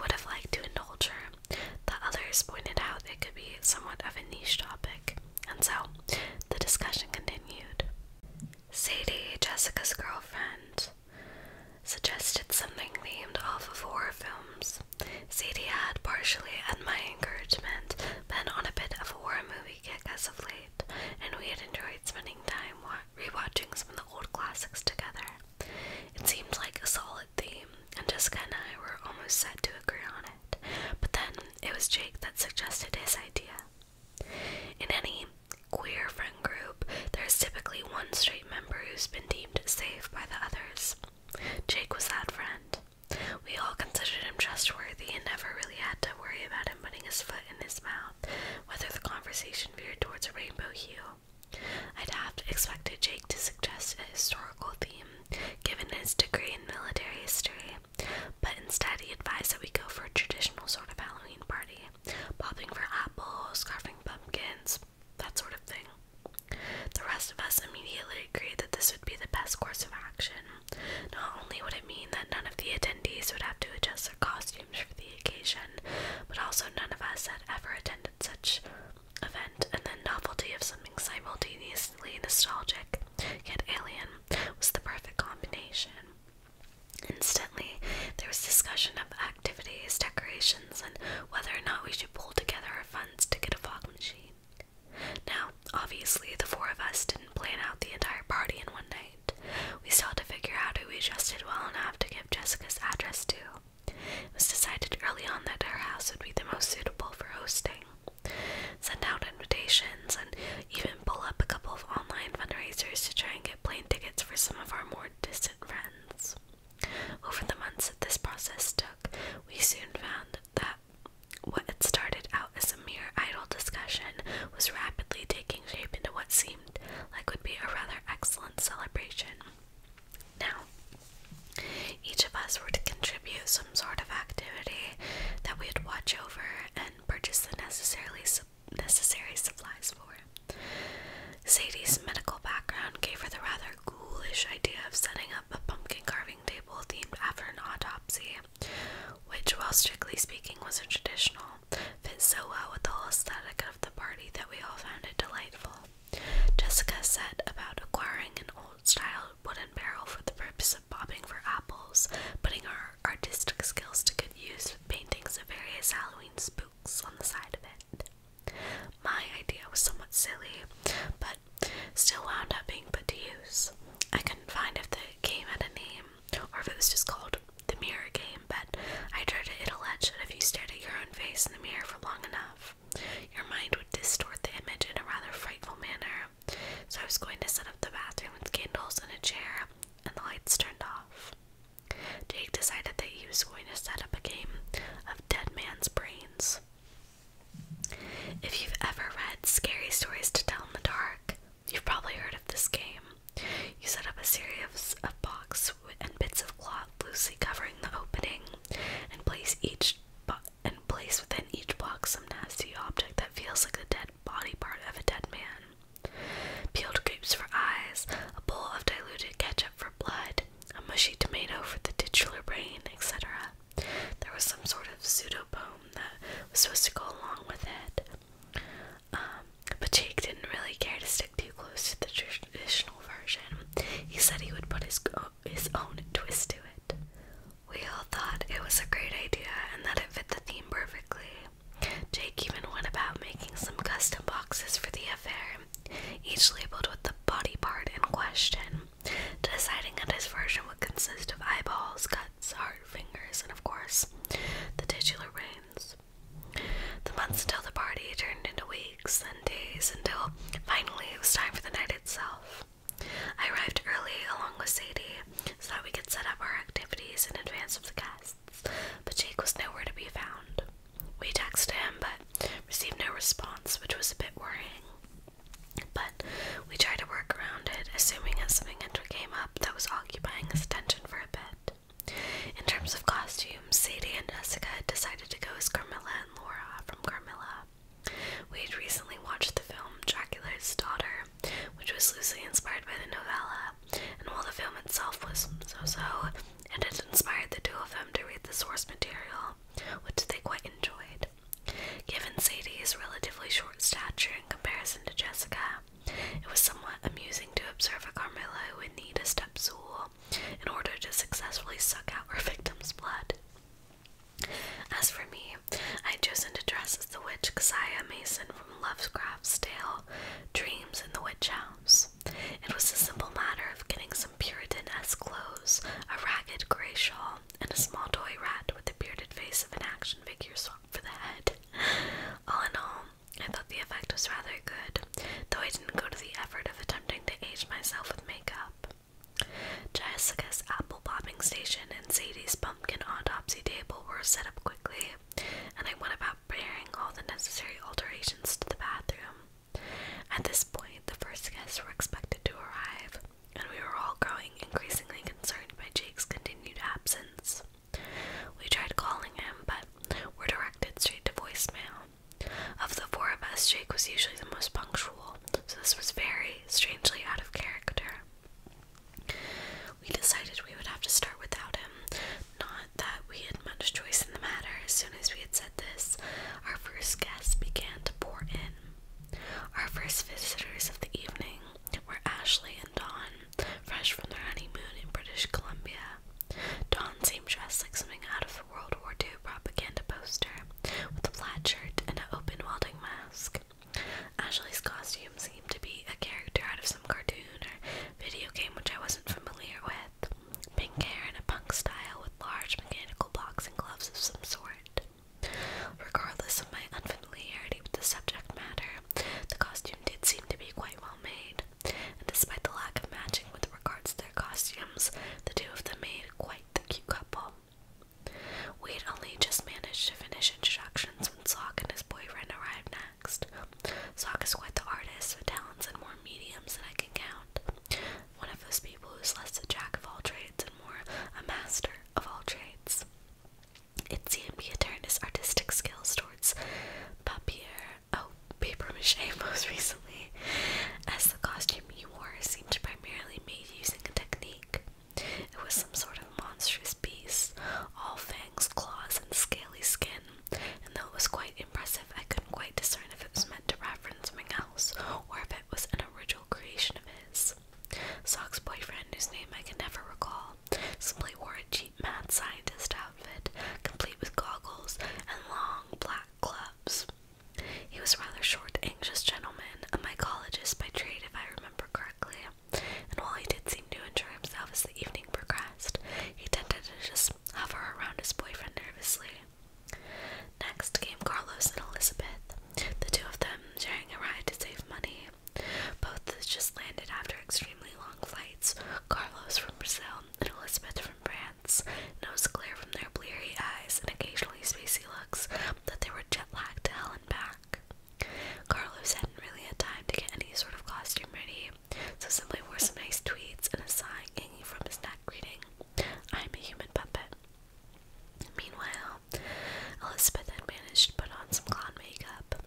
would have liked to indulge her, the others pointed out it could be somewhat of a niche topic. And so the discussion continued. Sadie, Jessica's girlfriend, suggested something themed off of horror films. Sadie had, partially at my encouragement, been on a bit of a horror movie kick as of late, and we had enjoyed spending time rewatching some of the old classics together. It seemed like a solid theme, and Jessica and I were almost set to agree on it but then it was Jake that suggested his idea. In any queer friend group, there is typically one straight member who's been deemed safe by the others. Jake was that friend. We all considered him trustworthy and never really had to worry about him putting his foot in his mouth, whether the conversation veered towards a rainbow hue. I'd have expected Jake to suggest a historical theme, given his degree in military history, but instead, he advised that we go for a traditional sort of Halloween party, popping for apples, carving pumpkins, that sort of thing. The rest of us immediately agreed that this would be the best course of action. Not only would it mean that none of the attendees would have to adjust their costumes for the occasion, but also none of us had ever attended such an event, and the novelty of something simultaneously nostalgic yet alien was the perfect combination. Instantly, there was discussion of activities, decorations, and whether or not we should pull together our funds to get a fog machine. Now, obviously, the four of us didn't plan out the entire party in one night. We still had to figure out who we trusted well enough to give Jessica's address to. It was decided early on that our house would be the most suitable for hosting send out invitations, and even pull up a couple of online fundraisers to try and get plane tickets for some of our more distant friends. Over the months that this process took, we soon found that what had started out as a mere idle discussion was rapidly taking shape into what seemed like would be a rather excellent celebration. Now, each of us were to contribute some sort of activity that we'd watch over and purchase the necessarily necessary supplies for. Sadie's medical background gave her the rather ghoulish idea of setting up a pumpkin carving table themed after an autopsy, which, while strictly speaking wasn't traditional, fit so well with the whole aesthetic of the party that we all found it delightful. Jessica set about acquiring an old style wooden barrel for the purpose of bobbing for apples, putting our artistic skills to good use with paintings of various Halloween spooks on the side of it. My idea was somewhat silly, but still wound up being put to use. I couldn't find if the game had a name, or if it was just called the mirror game, but I heard it allege that if you stared at your own face in the mirror for long enough, your mind would distort the image in a rather frightful manner, so I was going to set up the bathroom with candles and a chair, and the lights turned off. Jake decided that he was going to set up a game of Dead Man's Brains. If you've ever read Scary Stories to Tell in the Dark, you've probably heard of this game. You set up a series of boxes and bits of cloth loosely covering the opening and place each box and place within each box some nasty object that feels like the dead body part of a dead man. Peeled grapes for eyes, a bowl of diluted ketchup for blood, a mushy tomato for the titular brain, etc. There was some sort of pseudo pseudobome that was supposed to go along with it. Um, but Jake didn't really care to stick too close to the traditional version. He said he would put his, his own twist to it. We all thought it was a great idea and that it fit the theme perfectly. Jake even went about making some custom boxes for the affair, each labeled with the body part in question, deciding that his version would consist of eyeballs, guts, heart, fingers, and of course, the titular reins. The months until the party turned into weeks, then days, until finally it was time for the night itself. I arrived early along with Sadie so that we could set up our activities in advance of the guests, but Jake was nowhere to be found. We texted him but received no response, which was a bit worrying. But we tried to work around it, assuming that something came up that was occupying his attention for a bit. In terms of costumes, Sadie and Jessica decided to go as Carmilla and Laura from Carmilla. We had recently watched the film Dracula's Daughter, which was loosely inspired by the novella, and while the film itself was so so, it had inspired the two of them to read the source material, which they quite enjoyed. Given Sadie's relatively short stature in comparison to Jessica, it was somewhat amusing to observe a Carmilla who would need a step stool in order to successfully suck out her victim's blood. As for me, I had chosen to dress as the witch Kasiah Mason from Lovecraft's tale, Dreams in the Witch House. It was a simple matter of getting some Puritan-esque clothes, a ragged grey shawl, and a small toy rat with the bearded face of an action figure swapped for the head. All in all, I thought the effect was rather good, though I didn't go to the effort of attempting to age myself with makeup. Jessica's app sample popping station and Sadie's pumpkin autopsy table were set up quickly, and I went about preparing all the necessary alterations to the bathroom. At this point, the first guests were expected to arrive, and we were all growing increasingly concerned by Jake's continued absence. We tried calling him, but were directed straight to voicemail. Of the four of us, Jake was usually the most punctual, so this was very strangely out of character. We decided we would have to start without him. Not that we had much choice in the matter. As soon as we had said this, our first guests began to pour in. Our first visitors of the evening were Ashley and Dawn, fresh from their honeymoon in British Columbia. Dawn seemed dressed like something out of a World War II propaganda poster, with a plaid shirt and an open welding mask. Ashley's costume seemed to be a character out of some cartoon or video game which I wasn't familiar with. Pink hair and a punk style with large mechanical boxing gloves of some sort. Regardless of my unfamiliarity with the subject matter, the costume did seem to be quite well made, and despite the lack of matching with regards to their costumes, the two of them made quite the cute couple. We had only just managed to finish instructions when Sock and his boyfriend arrived next. Sock is quite the artist with talents in more mediums than I can count. One of those people who's less a jack of all trades and more a master of all trades. It seemed he had turned his artistic skills towards papier, oh, paper mache *laughs* most recently, as the costume he wore seemed primarily made using a technique. It was some sort of monstrous beast, all fangs, claws, and scaly skin, and though it was quite impressive, I couldn't quite discern if it was meant to reference something else or if it was an original creation of his. Sock's boyfriend, whose name I can never recall, simply wore a cheap mad scientist outfit, complete with goggles and long black gloves. He was a rather short, anxious gentleman, a mycologist by trade, if I remember correctly and while he did seem to enjoy himself as the evening progressed, he tended to just hover around his boyfriend nervously. Next came Carlos and Elizabeth, the two of them sharing a ride to save money. Both just landed after extremely long flights, Carlos from Brazil and Elizabeth from France, and it clear from their bleary eyes and occasionally spacey looks that they were jet lagged to hell and back. Carlos hadn't really had time to get any sort of costume ready, so simply wore some nice tweeds and a sign hanging from his neck reading, I'm a human puppet. Meanwhile, Elizabeth had managed to put on some clown makeup.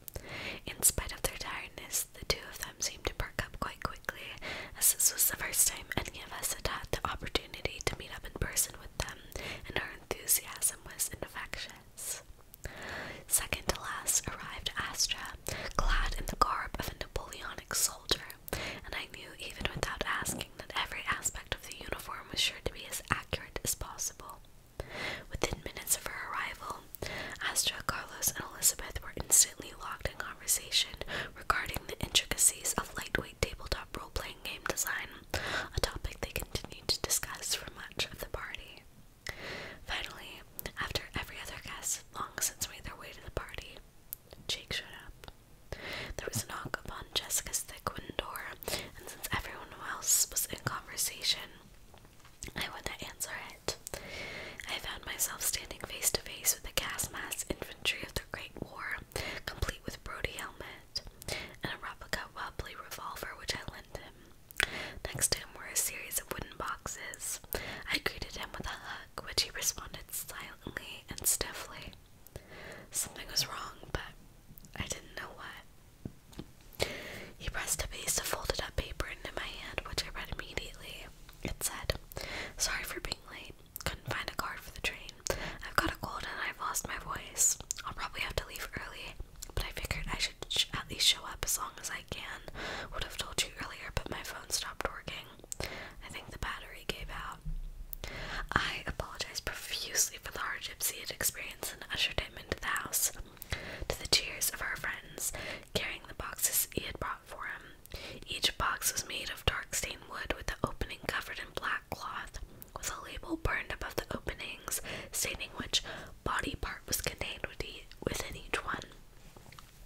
In spite of their tiredness, the two of them seemed to perk up quite quickly, as this was the first time any of us had had the opportunity to meet up in person with them, and our enthusiasm was infectious. Second to last arrived Astra, clad in the garb of a Napoleonic soldier, and I knew even without asking that every aspect of the uniform was sure to be as accurate as possible. Within minutes of her arrival, Astra, Carlos, and Elizabeth were instantly locked in conversation regarding the intricacies of lightweight tabletop role playing game design, a topic they continued to discuss for months of the party. Finally, after every other guest long since made their way to the party, Jake showed up. There was a knock upon Jessica's thick wooden door, and since everyone else was in conversation, I went to answer it. I found myself standing face to face with a gas mask infantry of the Great War, complete with Brody helmet and a replica wobbly revolver which I lent him. Next to him were a series of wooden boxes. I greeted him with a hug, which he responded silently and stiffly. Something was wrong, but I didn't know what. He pressed a piece of folded up paper into my hand, which I read immediately. It said, Sorry for being late. Couldn't find a card for the train. I've got a cold and I've lost my voice. I'll probably have to leave early. But I figured I should at least show up as long as I can. Would have told you earlier, but my phone stopped working. I think the battery gave out. I apologized profusely for the hard he experience and ushered him into the house. To the cheers of our friends, carrying the boxes he had brought for him. Each box was made of dark stained wood with the opening covered in black cloth with a label burned above the openings stating which body part was contained within each one.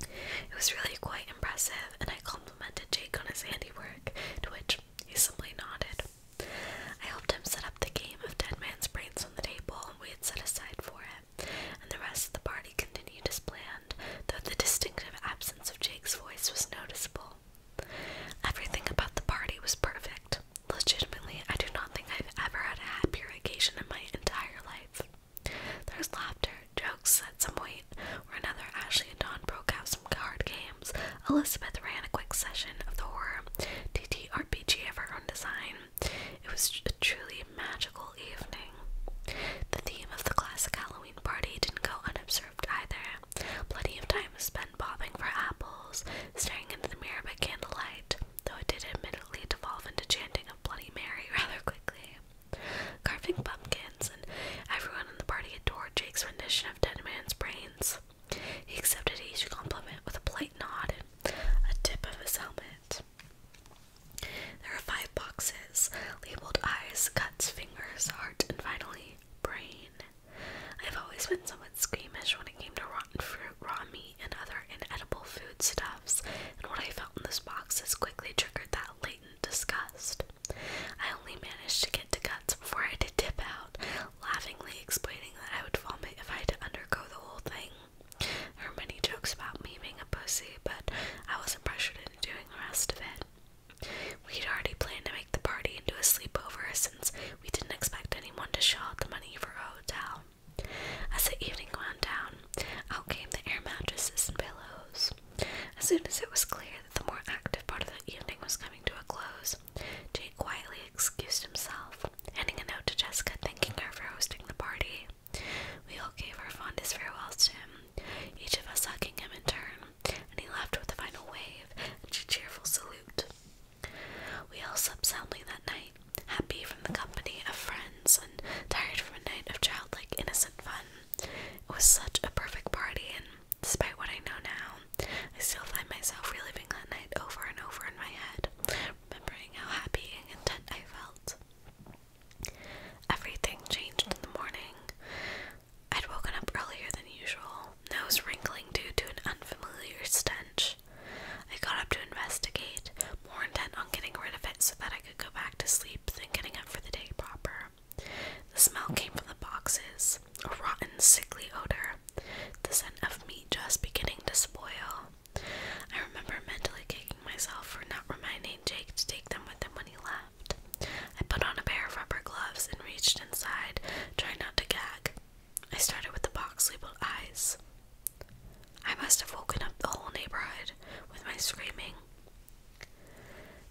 It was really quite impressive, and I complimented Jake on his handiwork, to which he simply nodded. I helped him set up the game of Dead Man's Brains on the table we had set aside for it, and the rest of the party continued as planned, though the distinctive absence of Jake's voice was noticeable. Everything about the party was perfect, legitimately, I do not think I've ever had a happier occasion in my entire life. There was laughter, jokes at some point or another. Ashley and Don broke out some card games. Elizabeth ran a quick session of the horror TTRPG of her own design. It was a truly magical evening. The theme of the classic Halloween party didn't go unobserved either. Plenty of time was spent bobbing for apples, staring into the mirror by candlelight, though it did admittedly devolve into chanting of Bloody Mary *laughs* rather quickly. Carving pumpkins, and everyone in the party adored Jake's rendition of Dead Man's Brains. He accepted each compliment with a polite nod and a tip of his helmet. There are five boxes, labeled eyes, guts, fingers, heart, and finally, brain. I've always been somewhat squeamish when it came to fruit, raw meat, and other inedible foodstuffs, and what I felt in this box has quickly triggered that latent disgust. I only managed to get to guts before I did to dip out, laughingly explaining that I would vomit if I had to undergo the whole thing. There were many jokes about me being a pussy, but I wasn't pressured into doing the rest of it. We'd already planned to make the party into a sleepover since we didn't expect anyone to shell out the money for a hotel. As the evening wound down, out came the air mattresses and pillows. As soon as it was clear that the more active part of the evening was coming to a close, Jake quietly excused himself, handing a note to Jessica thanking her for hosting the party. We all gave our fondest farewells to him, each of us hugging him in turn, and he left with a final wave and a cheerful salute. We all slept soundly that night, happy from the company of friends and tired from a night of childlike innocent fun. It was such a perfect party, and despite what I know now, I still find myself reliving that night over and over in my head, remembering how happy and content I felt. Everything changed in the morning. I'd woken up earlier than usual, nose wrinkling due to an unfamiliar stench I got up to investigate, more intent on getting rid of it so that I could go back to sleep than getting up for the day proper. The smell came from the boxes, a rotten, sickly odor, the scent of meat just beginning to spoil. I remember mentally kicking myself for not reminding Jake to take them with him when he left. I put on a pair of rubber gloves and reached inside, trying not to gag. I started with the box labeled eyes. I must have woken up the whole neighborhood with my screaming.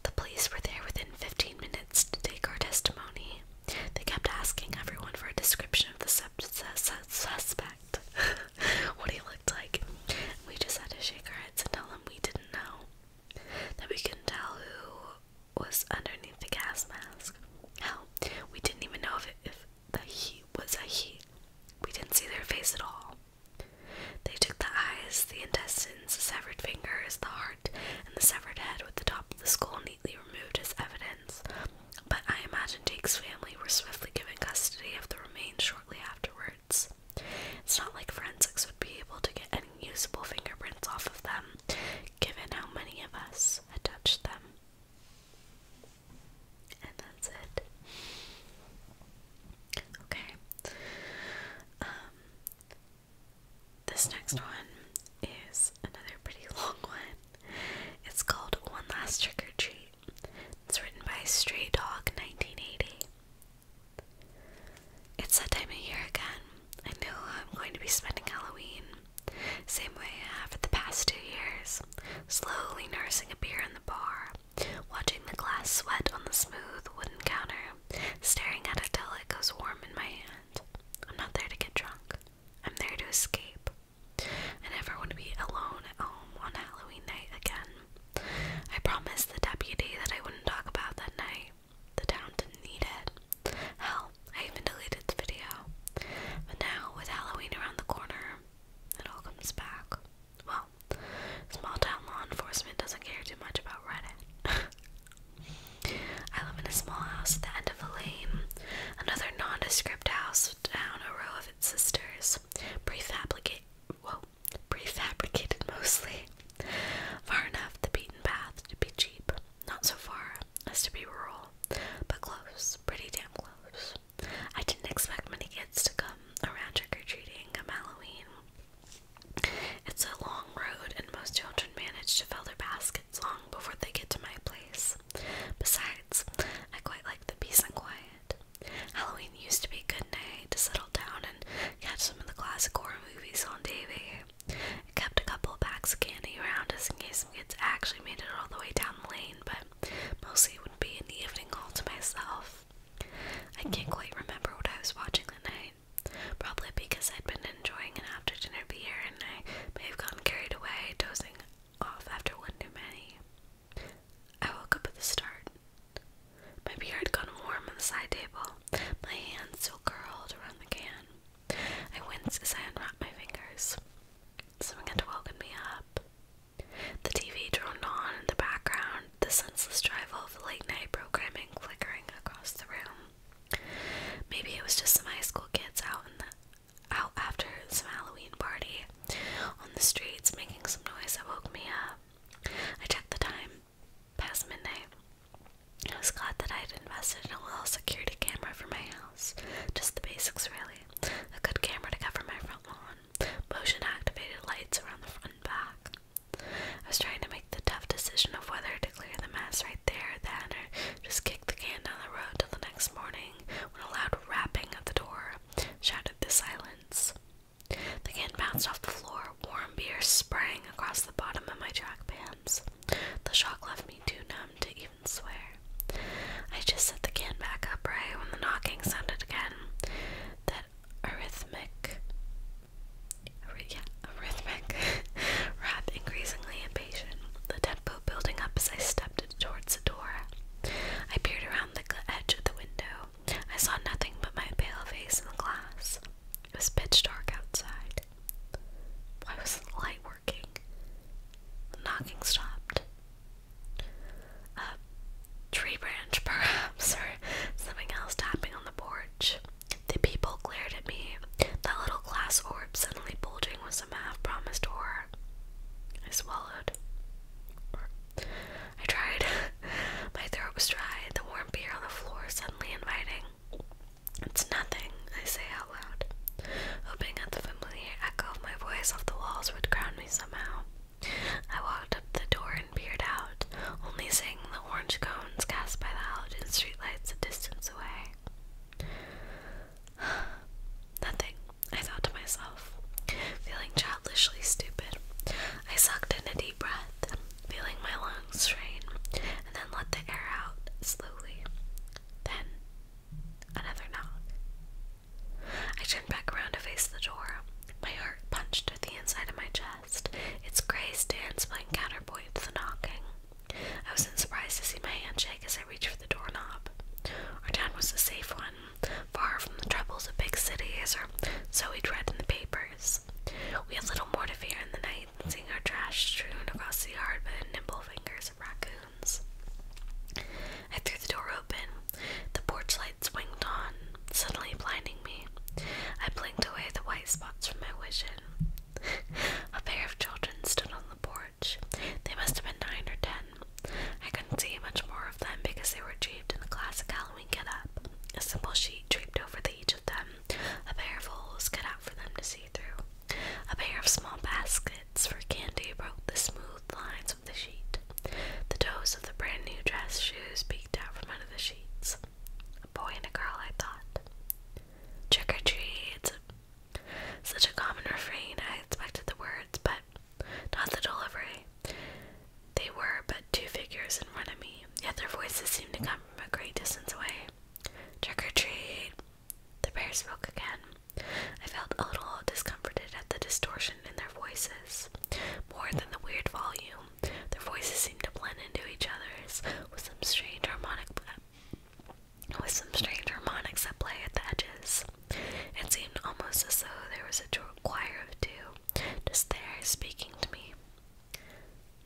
The police were there within 15 minutes to take our testimony. They kept asking everyone for a description of the suspect, *laughs* what he looked like. We just had to shake our heads and tell them we didn't know. That we couldn't tell who was underneath the gas mask. Hell, we didn't even know if, it, the heat was a heat. We didn't see their face at all. They took the eyes, the intestines, the severed fingers, the heart, and the severed head with the top of the skull neatly removed as evidence. But I imagine Jake's family were swiftly given custody of the remains shortly afterwards. It's not like forensics would be able to get any usable fingerprints off of them, given how many of us had touched them. And that's it. Okay. Um, this next one is another pretty *laughs* long one. It's called One Last Trick or Treat. It's written by Stray Dog 1980. It's that time of year again. I know I'm going to be spending Halloween same way I have for the past two years, slowly nursing a beer in the bar, watching the glass sweat on the smooth wooden counter, staring at it till it goes warm in my hand. I'm not there to get drunk. I'm there to escape. I never want to be alone at home on Halloween night again. I promised the deputy that I wouldn't talk about that night. The town didn't need it. I even deleted the video. But now, with Halloween around the corner, it all comes back. Well, small town law enforcement doesn't care too much about Reddit. *laughs* I live in a small house at the end of a lane, another nondescript house down a row of its sisters, prefabricate, well, prefabricated mostly, far enough the beaten path to be cheap, not so far as to be rural, but close, pretty damn close. I didn't expect many kids to come around trick or treating come Halloween. It's a long road, and most children manage to fill their baskets long before they get to my place. Besides, I quite like the peace and quiet. Halloween used to be a good night to settle down and catch some of the classic horror movies on TV. I kept a couple of packs of candy around just in case some kids actually made it all the way down the lane, but Mostly it would be in the evening all to myself. I can't quite remember what I was watching that night. Probably because I'd been enjoying an after dinner beer and I may have gotten carried away, dozing off after one too many. I woke up at the start. My beer had gone warm on the side table, my hands still curled around the can. I winced as I unwrapped my fingers. Someone had me up. The TV droned on in the background, the senseless drivel of late night programming flickering across the room. Maybe it was just some high school kids out in the out after some Halloween party on the streets making some noise that woke me up. I checked the time. Past midnight. I was glad that I had invested in a little security camera for my house. Just the basics, really a good camera to cover my front lawn, motion activated lights around the front back. I was trying to make the tough decision of whether to clear the mess right there, then, or just kick the can down the road till the next morning when a loud rapping at the door shattered the silence. The can bounced off the floor, warm beer sprang across the bottom of my track pants. The shock left me too numb to eat swear. I just set the can back up right when the knocking sounded again. That arrhythmic, yeah, arrhythmic *laughs* rap increasingly impatient, the tempo building up as I stepped towards the door. I peered around the edge of the window. I saw nothing but my pale face in the glass. It was pitch dark outside. Why was the light working? The knocking stopped a tree branch, *laughs* perhaps, or something else tapping on the porch. The people glared at me, that little glass orb suddenly bulging with some half promised horror. I swallowed. I tried. *laughs* My throat was dry, the warm beer on the floor suddenly inviting. It's nothing, I say hoping that the familiar echo of my voice off the walls would ground me somehow. I walked up the door and peered out, only seeing the orange cones cast by the halogen streetlights a distance away. *sighs* Nothing, I thought to myself, feeling childishly stupid. I sucked in a deep breath, feeling my lungs strain, and then let the air out slowly. Then, another knock. I turned back around to face the door. My heart punched at the inside of my chest, its gray stands playing counterpoint to the knocking. I wasn't surprised to see my hand shake as I reached for the doorknob. Our town was a safe one, far from the troubles of big cities, or so we'd read in the papers. We had little more to fear in the night than seeing our trash strewn across the yard by the nimble fingers of raccoons. I threw the door open. The porch light swinged on, suddenly blinding me. I blinked away the white spots from my vision. A pair of children stood on the porch. They must have been nine or ten. I couldn't see much more of them because they were draped in the classic Halloween get up. A simple sheet draped over each of them, a pair of holes cut out for them to see through. A pair of small baskets for candy broke the smooth lines the sheet. The toes of the brand new dress shoes peeked out from under the sheets. A boy and a girl, I thought. Trick or treat. It's Such a common refrain, I expected the words, but not the delivery. They were but two figures in front of me, yet their voices seemed to come from a great distance away. Trick or treat! The bear spoke again. I felt a little discomforted at the distortion in their voices. More than the weird volume, their voices seemed to blend into each other's with some strange harmonic with some strange harmonics that play at the edges. It seemed almost as though there was a choir of two just there speaking to me.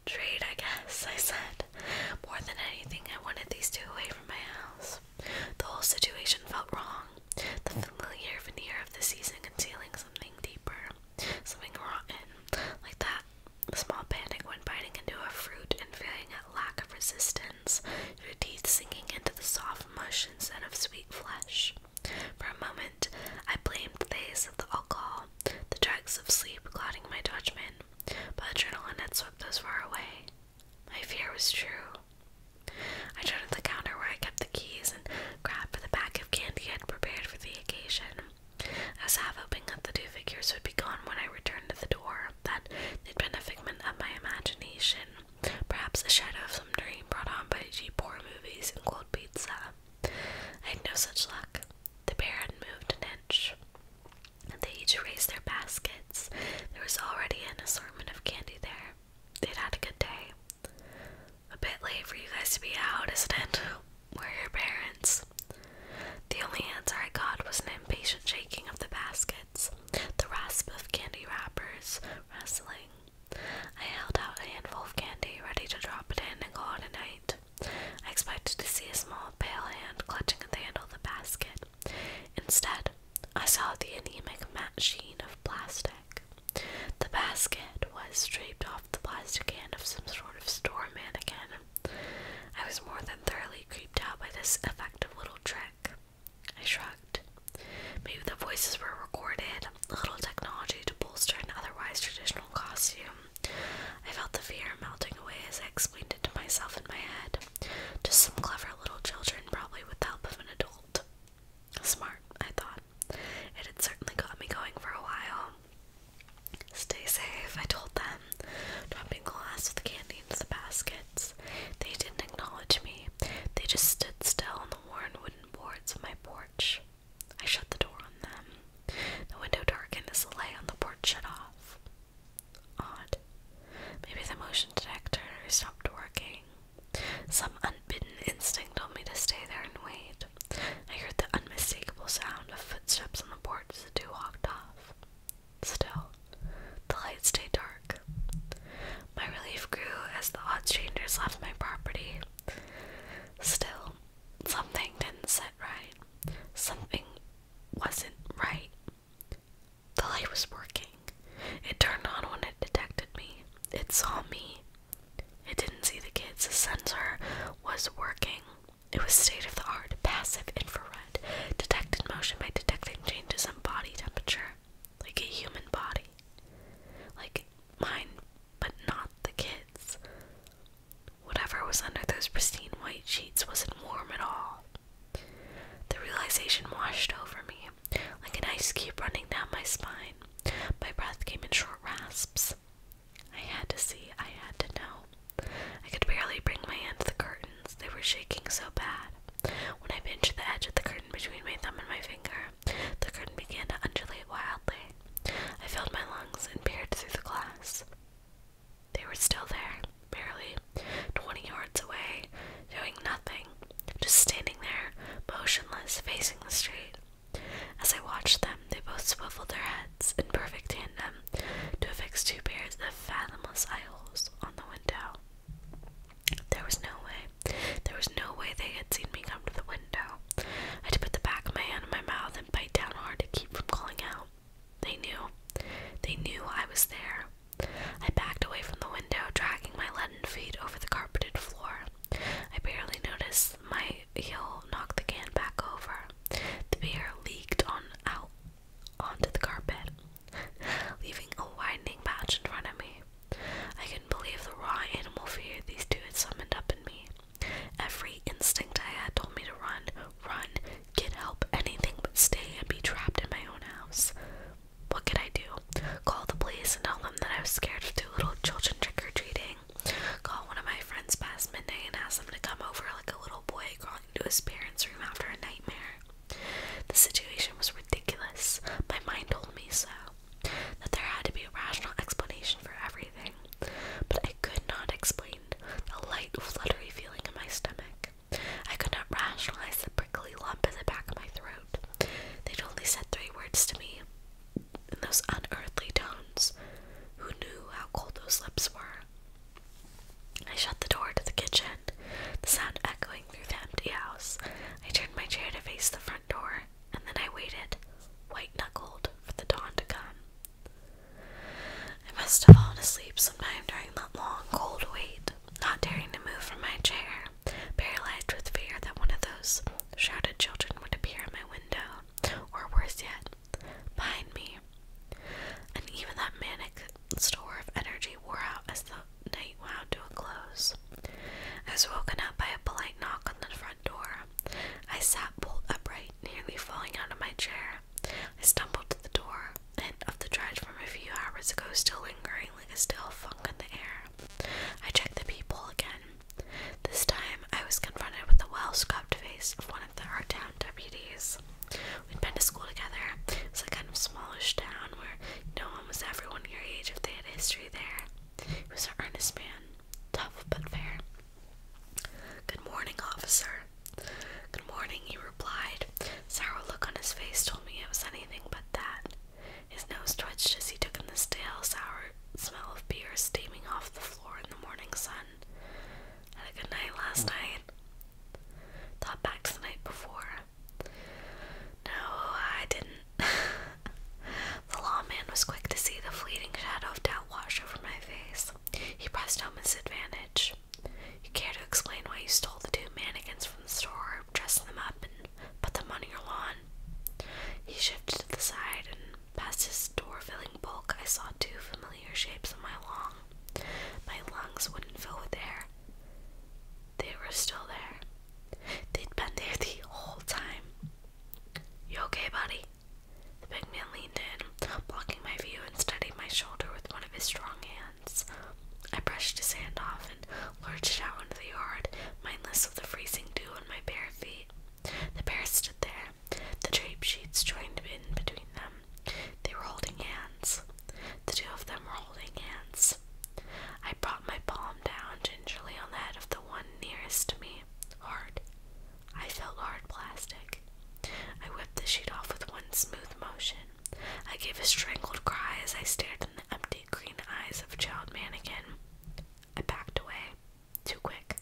Trade, I guess, I said. More than anything, I wanted these two away from my house. The whole situation felt wrong. The familiar veneer of the season concealing something deeper, something rotten. Like that small panic when biting into a fruit and feeling a lack of resistance, your teeth sinking into the soft mush instead of sweet flesh. For a moment, I blamed the haze of the alcohol, the dregs of sleep clouding my judgment, but adrenaline had swept those far away. My fear was true. I turned to the counter where I kept the keys and grabbed for the pack of candy I had prepared for the occasion. I was half hoping that the two figures would be gone when I returned to the door, that they'd been a figment of my imagination, perhaps a shadow of some dream brought on by cheap horror movies and cold pizza. I had no such luck. The pair had moved an inch. They each raised their baskets. There was already an assortment of candy there they'd had a good day. A bit late for you guys to be out, isn't it? Where are your parents? The only answer I got was an impatient shaking of the baskets, the rasp of candy wrappers rustling. I held out a handful of candy, ready to drop it in and go on a night. I expected to see a small, pale hand clutching at the handle of the basket, Instead, I saw the anemic matte sheen of plastic. The basket was draped off the plastic hand of some sort of store mannequin. I was more than thoroughly creeped out by this effective little trick. I shrugged. Maybe the voices were recorded, a little technology to bolster an otherwise traditional costume. I felt the fear melting away as I explained it to myself in my head. Just some clever little children, probably with the help of an adult. Smart, I thought. It had certainly got me going for a while. Stay safe, I told them, dropping glass with the candy into the baskets. They didn't acknowledge me. They just stood still on the worn wooden boards of my porch. I shut the door on them. The window darkened as the light on the porch shut off. Odd. Maybe the motion detector stopped working. Some unbidden instinct told me to stay there and wait. I heard the unmistakable sound of footsteps on the porch as the two walked off. Still, the light stayed dark. My relief grew as the odd strangers left my property. Still, something didn't sit right. Something wasn't right. The light was working. It turned on when it detected me. It saw me. It didn't see the kids. The sensor was working. It was state of the art, passive infrared, detected motion by detecting changes in body temperature, like a human body. Like mine, but not the kids. Whatever was under those pristine white sheets wasn't warm at all. The realization washed over me like an ice cube running down my spine. My breath came in short rasps. I had to see, I had to know. I could barely bring my hand to the curtains, they were shaking so bad. When I pinched the edge of the curtain between my thumb and my finger, the curtain began to undulate wildly. I filled my lungs and peered through the glass. They were still there, barely twenty away, doing nothing, just standing there, motionless, facing the street. As I watched them, they both swiveled their heads in perfect tandem to affix two pairs of fathomless eye holes on the window. There was no way. There was no way they had seen me come to the window. I had to put the back of my hand in my mouth and bite down hard to keep from calling out. They knew. They knew I was there. I backed away from the window, dragging my leaden feet over the carpeted floor. I barely noticed my heel knock the can back over. The beer leaked on out onto the carpet, leaving a widening patch in front of me. I couldn't believe the raw animal fear these two had summoned up in me. Every instinct I had told me to run, run, get help, anything but stay and be trapped in my own house. What could I do? Call the police and tell them that I was scared to two little children trick or treating. Call one of my friends past midnight and ask them to come over like a little boy crawling into his parents' room after a nightmare. The situation was ridiculous. My mind told me so. That there had to be a rational explanation for everything. But I could not explain the light, fluttery feeling in my stomach. I could not rationalize the prickly lump at the back of my throat. They'd only said three words to me in those unearthly tones. Who knew how cold those lips were? I shut the door to the kitchen, the sound echoing through the empty house. I turned my chair to face the front door, and then I waited, white knuckled, for the dawn to come. I must have fallen asleep sometime during that long, cold wait, not daring to move from my chair paralyzed with fear that one of those shrouded children would appear at my window, or worse yet, behind me. And even that manic store of energy wore out as the night wound to a close. I was woken up by a polite knock on the front door. I sat bolt upright, nearly falling out of my chair. I stumbled to the door, and of the drudge from a few hours ago still lingering, like a stale funk in the air. I checked the people again. This time, I was confronted with the well-scrubbed face of one of the our town deputies. We'd been to school together. It's a kind of smallish town where no one was everyone your age if they had history there. He was an earnest man, tough but fair. Good morning, officer. Good morning, he replied. Sour look on his face told me it was anything but that. His nose twitched as he took in the stale, sour smell of beer steaming off the floor in the morning sun. Had a good night last night. Thought back to the night before. No, I didn't. *laughs* the lawman was quick to see the fleeting shadow of doubt wash over my face. He pressed home his advantage. You care to explain why you stole the two mannequins from the store, dressed them up, and put them on your lawn. He shifted to the side, and past his door-filling bulk, I saw two familiar shapes on my lawn. My lungs wouldn't fill with air. They were still there. They'd been there the whole time. You okay, buddy? The big man leaned in, blocking my view, and steadying my shoulder with one of his strong hands. I brushed his hand off heaven, lurched out into the yard, mindless of the freezing dew on my bare feet. The pair stood there, the drape sheets joined in between them. They were holding hands. The two of them were holding hands. I brought my palm down gingerly on the head of the one nearest to me. Hard. I felt hard plastic. I whipped the sheet off with one smooth motion. I gave a strangled cry as I stared than the empty green eyes of child mannequin. I backed away. Too quick.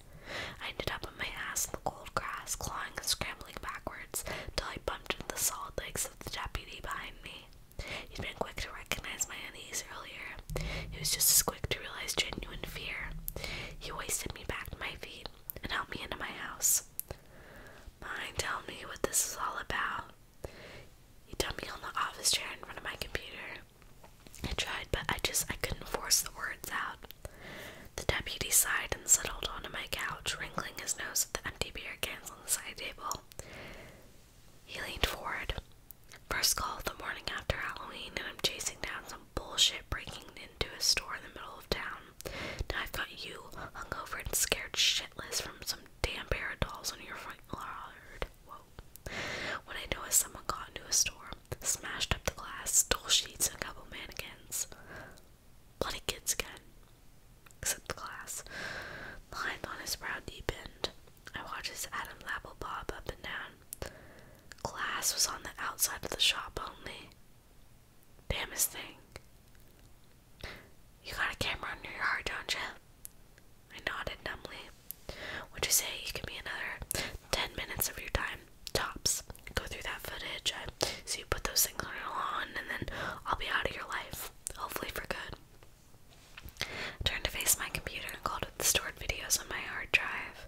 I ended up on my ass in the cold grass, clawing and scrambling backwards, till I bumped into the solid legs of the deputy behind me. He'd been quick to recognize my unease earlier. He was just as quick to realize genuine fear. He wasted me back to my feet and helped me into my house. Mind, tell me what this is all about. He dumped me on the office chair in front of my computer. I tried, but I just I couldn't force the words out. The deputy sighed and settled onto my couch, wrinkling his nose at the empty beer cans on the side table. He leaned forward. First call the morning after Halloween, and I'm chasing down some bullshit breaking into a store in the middle of town. Now I've got you hungover and scared shitless from some damn pair of dolls on your front yard. When I noticed someone got into a store, smashed up the glass, stole sheets and a couple mannequins. Bloody kids again. Except the glass. The lines on his brow deepened. I watched his Adam's apple bob up and down. Glass was on the outside of the shop only. Damn his thing. You got a camera under your heart, don't you? I nodded numbly. Would you say you give me another ten minutes of your time? Tops. Go through that footage. I see you put those things on your lawn, and then I'll be out of your life. Hopefully for good. turned to face my computer and called up the stored videos on my hard drive.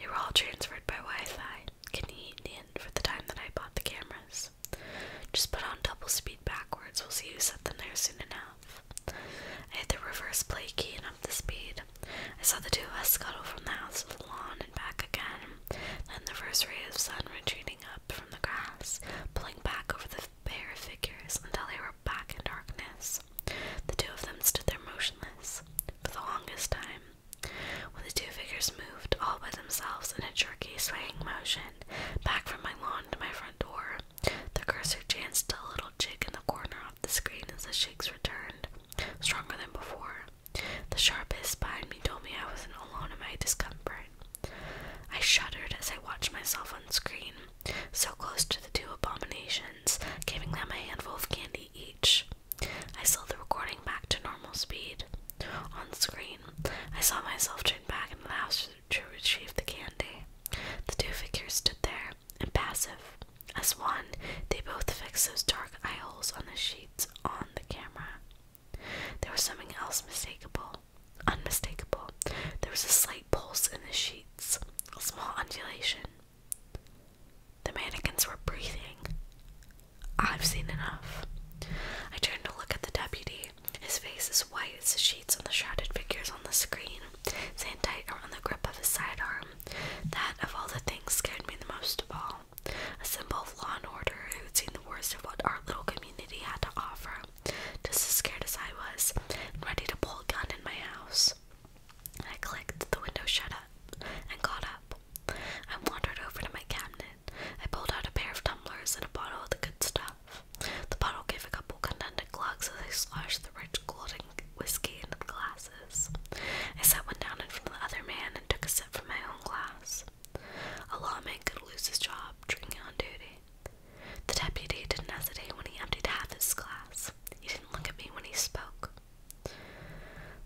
They were all transferred by Wi-Fi, Can you in for the time that I bought the cameras. Just put on double speed backwards. We'll see who set them there soon enough. I hit the reverse play key and up the speed. I saw the two of us scuttle from the house to the lawn and back again. Then the first ray of sun retreating up from the grass, pulling back over the bare figures until they were back in darkness. The two of them stood there motionless for the longest time. When the two figures moved all by themselves in a jerky, swaying motion, back from my lawn to my front door, the cursor chanced a little jig in the corner of the screen as the shakes returned, stronger than before. The sharpest behind me told me I wasn't alone in my discomfort. I shuddered as I watched myself on screen, so close to the two abominations, giving them a handful of candy each. I slowed the recording back to normal speed. On screen, I saw myself turn back and the to retrieve the candy. The two figures stood there, impassive. As one, they both fixed those dark eye holes on the sheets on the camera. There was something else mistakable. Unmistakable. There was a slight pulse in the sheets, a small undulation. The mannequins were breathing. I've seen enough. I turned to look at the deputy. His face is white as the sheets on the shrouded figures on the screen, sand tight around the grip of his sidearm. That, of all the things, scared me the most of all. A symbol of law and order who'd seen the worst of what our little community had to offer, just as scared as I was, ready to pull a gun in my house. I clicked the window shut up and got up. I wandered over to my cabinet. I pulled out a pair of tumblers and a bottle of the good stuff. The bottle gave a couple contented glugs as they sloshed the rich golden whiskey into the glasses. I sat one down in front of the other man and took a sip from my own glass. A lawman could lose his job drinking on duty. The deputy didn't hesitate when he emptied half his glass. He didn't look at me when he spoke.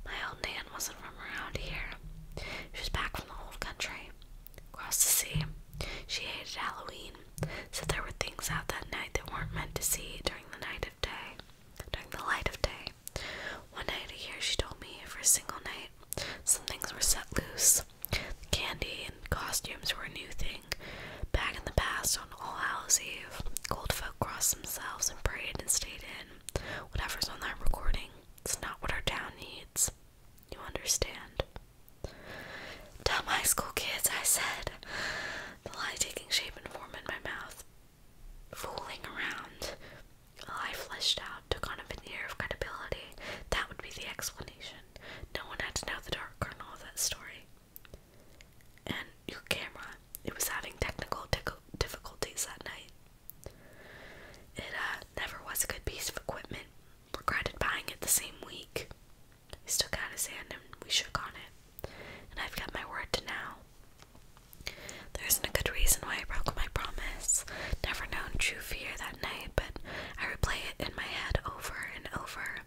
My old Nan wasn't from around here. She was back from the old country, across the sea. She hated Halloween so there were things out that night that weren't meant to see during the night of day, during the light of day. One night a year, she told me, for a single night, some things were set loose. candy and costumes were a new thing. Back in the past, on All Hallows Eve, cold folk crossed themselves and prayed and stayed in. Whatever's on that recording, it's not what our town needs. You understand? Dumb high school kids, I said, the lie taking shape and form in my mouth. Fooling around. A lie fleshed out, took on a veneer of credibility. That would be the explanation. No one had to know the dark kernel of that story. And your camera. It was having technical difficulties that night. It uh, never was a good piece of equipment. Regretted buying it the same week. He stuck out his hand and we shook on it. And I've kept my word to now. There isn't a good reason why I broke my promise. Never known true fear that night, but I replay it in my head over and over.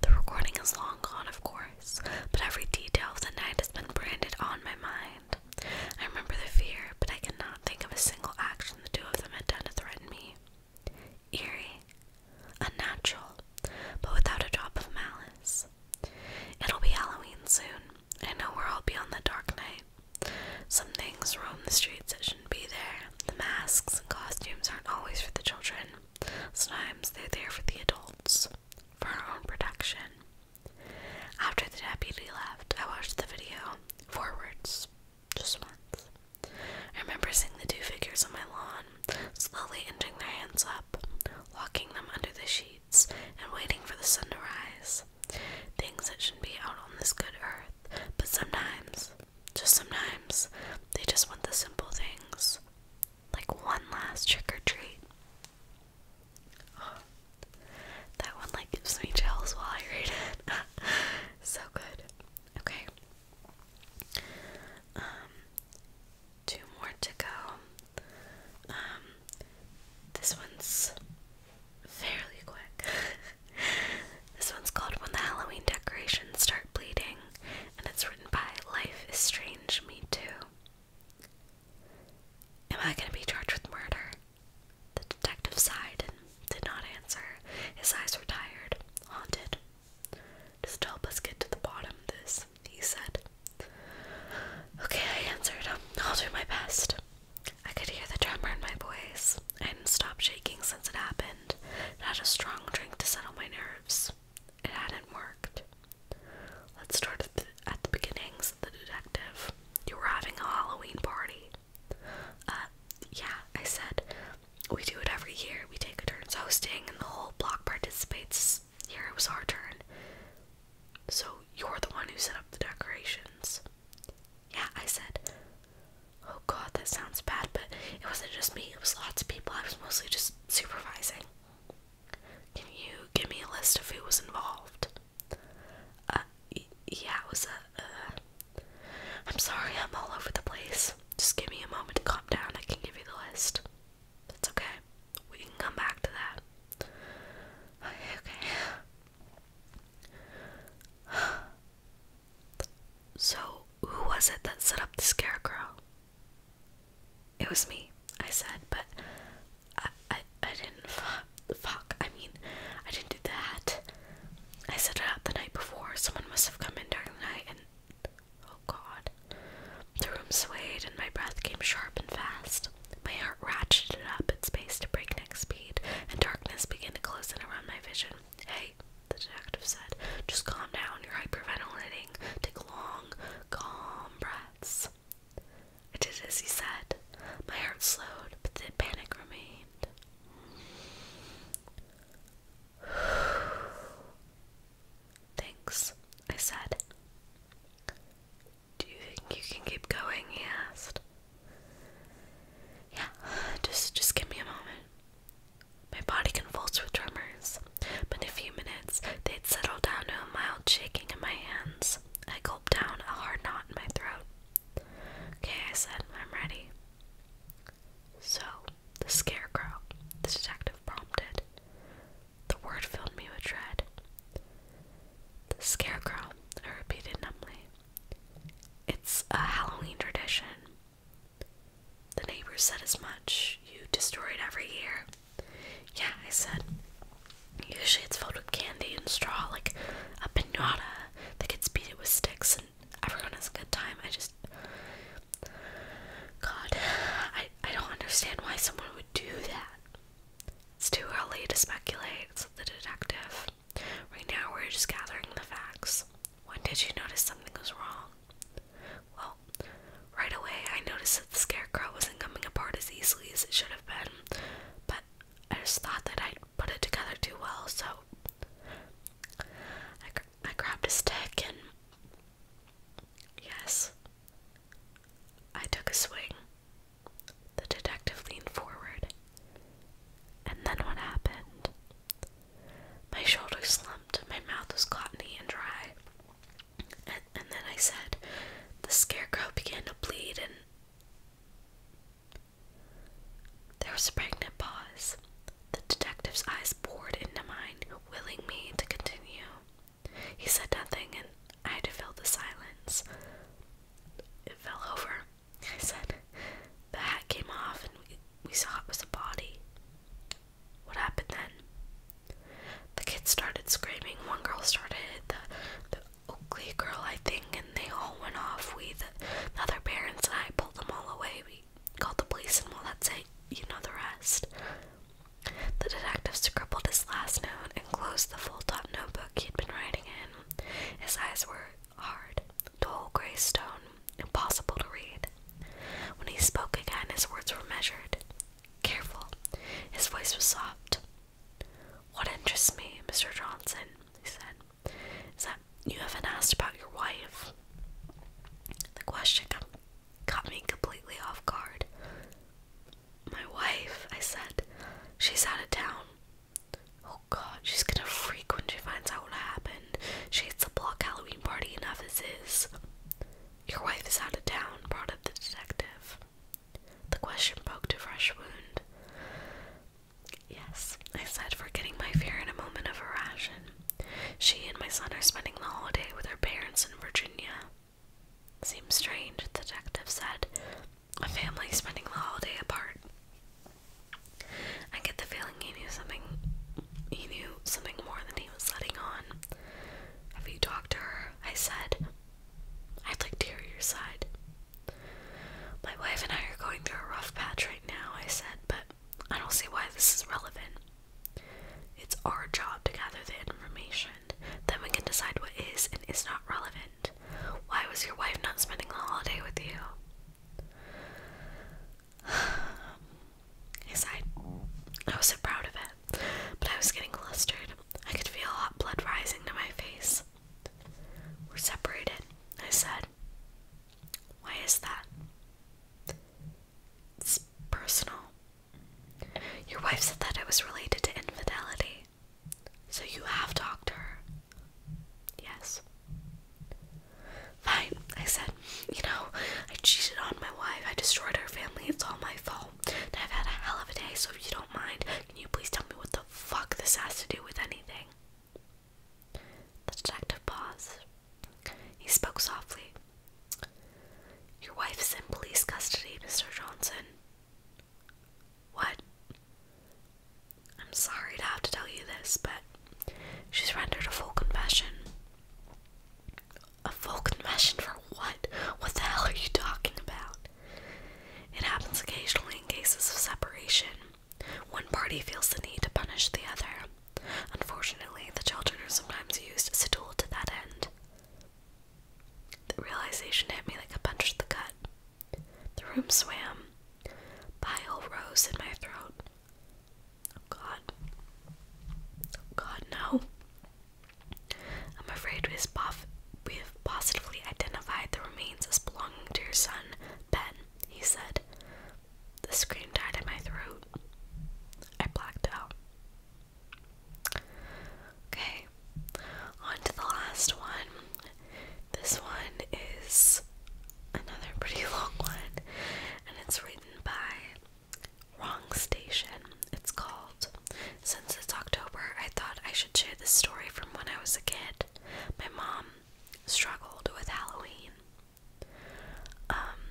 The recording is long gone, of course, but every detail of the night has been branded on my mind. I remember the fear, but I cannot think of a single action the two of them had done to threaten me eerie, unnatural, but without a drop of malice. It'll be Halloween soon. and I know we're all beyond the dark night. Some things roam the streets that shouldn't be there. The masks and costumes aren't always for the children. Sometimes they're there for the adults, for our own protection. After the deputy left, I watched the video forwards just once. I remember seeing the two figures on my lawn, slowly ending their hands up, locking them under the sheets, and waiting for the sun to rise. Things that shouldn't be out on this good earth, but sometimes, just sometimes, they just want the simple things. Like one last trick or treat. that one like gives me chills while I read it. *laughs* so good. Okay, um, two more to go. Um, this one's fairly quick. *laughs* this one's called When the Halloween Decorations Start Bleeding, and it's written by Life is Strange, Me Too. Am I going to be charged with murder? The detective sighed and did not answer. His eyes were tired, haunted, just help us get to the bottom of this, he said. Okay, I answered. I'll do my best. I could hear the tremor in my voice. I hadn't stopped shaking since it happened. I had a strong drink to settle my nerves. It hadn't worked. Let's start at the, beginnings," the the detective. You were having a Halloween party. Uh, yeah, I said we do it every year. We take turns hosting, and the whole block participates. Here it was our turn. So you're the one who set up the decorations. Yeah, I said. Oh god, that sounds bad, but it wasn't just me, it was lots of people. I was mostly just supervising. Can you give me a list of who was involved? Uh, yeah, it was a. am uh, sorry, I'm all over the place. Just give me a moment to calm down. I can give you the list. That's okay. We can come back to that. Okay, So, who was it that set up the scarecrow? It was me, I said, but I, I, I didn't. Fuck, I mean, I didn't do that. I set it up the night before. Someone must have come in during the night and Oh God. The room swayed and my breath came sharp and fast. My heart ratcheted up its pace to breakneck speed, and darkness began to close in around my vision. Hey, the detective said, just calm down. You're hyperventilating. Take long, calm breaths. I did as he said. My heart slowed, but the panic remained. *sighs* Thanks, I said. Do you think you can keep going? he asked. Yeah, *sighs* just just give me a moment. My body convulsed with tremors, but in a few minutes they'd settled down to a mild shaking in my hands. I gulped down a hard knot in my throat. Okay, I said, I'm ready. So, the scarecrow, the detective prompted. The word filled me with dread. The scarecrow, I repeated numbly. It's a Halloween tradition. The neighbors said as much. You destroy it every year. Yeah, I said. Usually it's filled with candy and straw, like a pinata that gets beat it with sticks, and everyone has a good time. I just. God, I, I don't understand why someone would do that. It's too early to speculate, said the detective. Right now, we're just gathering the facts. When did you notice something was wrong? Well, right away, I noticed that the scarecrow wasn't coming apart as easily as it should have been, but I just thought that I'd put it together too well, so I grabbed a stick and. Yes. I took a swing. The detective leaned forward. And then what happened? My shoulders slumped, my mouth was cottony and dry. And, then I said, The scarecrow began to bleed, and. There was a pregnant pause. The detective's eyes bored into mine, willing me to continue. He said nothing, and I had to fill the silence. It fell over, I said. The hat came off, and we, we saw it was a body. What happened then? The kids started screaming. One girl started the, the Oakley girl, I think, and they all went off. We, the, other parents, and I pulled them all away. Called the police, and well, that's it. You know the rest. The detective scribbled his last note and closed the full up notebook he had been writing in. His eyes were hard, dull gray stone, impossible to read. When he spoke again, his words were measured, careful. His voice was soft. What interests me, Mr. Johnson, he said, is that you haven't asked about your wife. The question came caught me completely off guard. My wife, I said, she's out of town. Oh god, she's gonna freak when she finds out what happened. She hates the block Halloween party enough as is. Your wife is out of town, brought up the detective. The question poked a fresh wound. Yes, I said, forgetting my fear in a moment of irration. She and my son are spending the holiday with her parents in Virginia. Seems strange, the detective said. A family spending the holiday apart. I get the feeling he knew something he knew something more than he was letting on. Have you talked to her? I said. I'd like to hear your side. My wife and I are going through a rough patch right now, I said, but I don't see why this is relevant. It's our job to gather the information. Then we can decide what is and is not relevant. Why was your wife not spending the holiday with you? *sighs* I I was so proud of it, but I was getting flustered. I could feel hot blood rising to my face. We're separated, I said. Why is that? It's personal. Your wife said that it was related to infidelity. So you have talked to her. Yes. Fine, I said. You know, I cheated on my wife. I destroyed her family. It's all my fault. And I've had a hell of a day, so if you don't mind, can you please tell me what the fuck this has to do with anything? The detective paused. He spoke softly. Your wife is in police custody, Mr. Johnson. What? I'm sorry to have to tell you this, but she's rendered a full confession. A full confession for what? What the hell are you talking about? It happens occasionally in cases of separation. One party feels the need to punish the other, Unfortunately, the children are sometimes used as a tool to that end. The realization hit me like a punch to the gut. The room swam. Bile rose in my throat. Oh god. Oh god, no. I'm afraid we have, we have positively identified the remains as belonging to your son, Ben, he said. The scream died in my throat. I blacked out. Okay, on to the last one. This one is another *laughs* pretty long one, and it's written by Wrong Station. It's called. Since it's October, I thought I should share this story from when I was a kid. My mom struggled with Halloween. Um,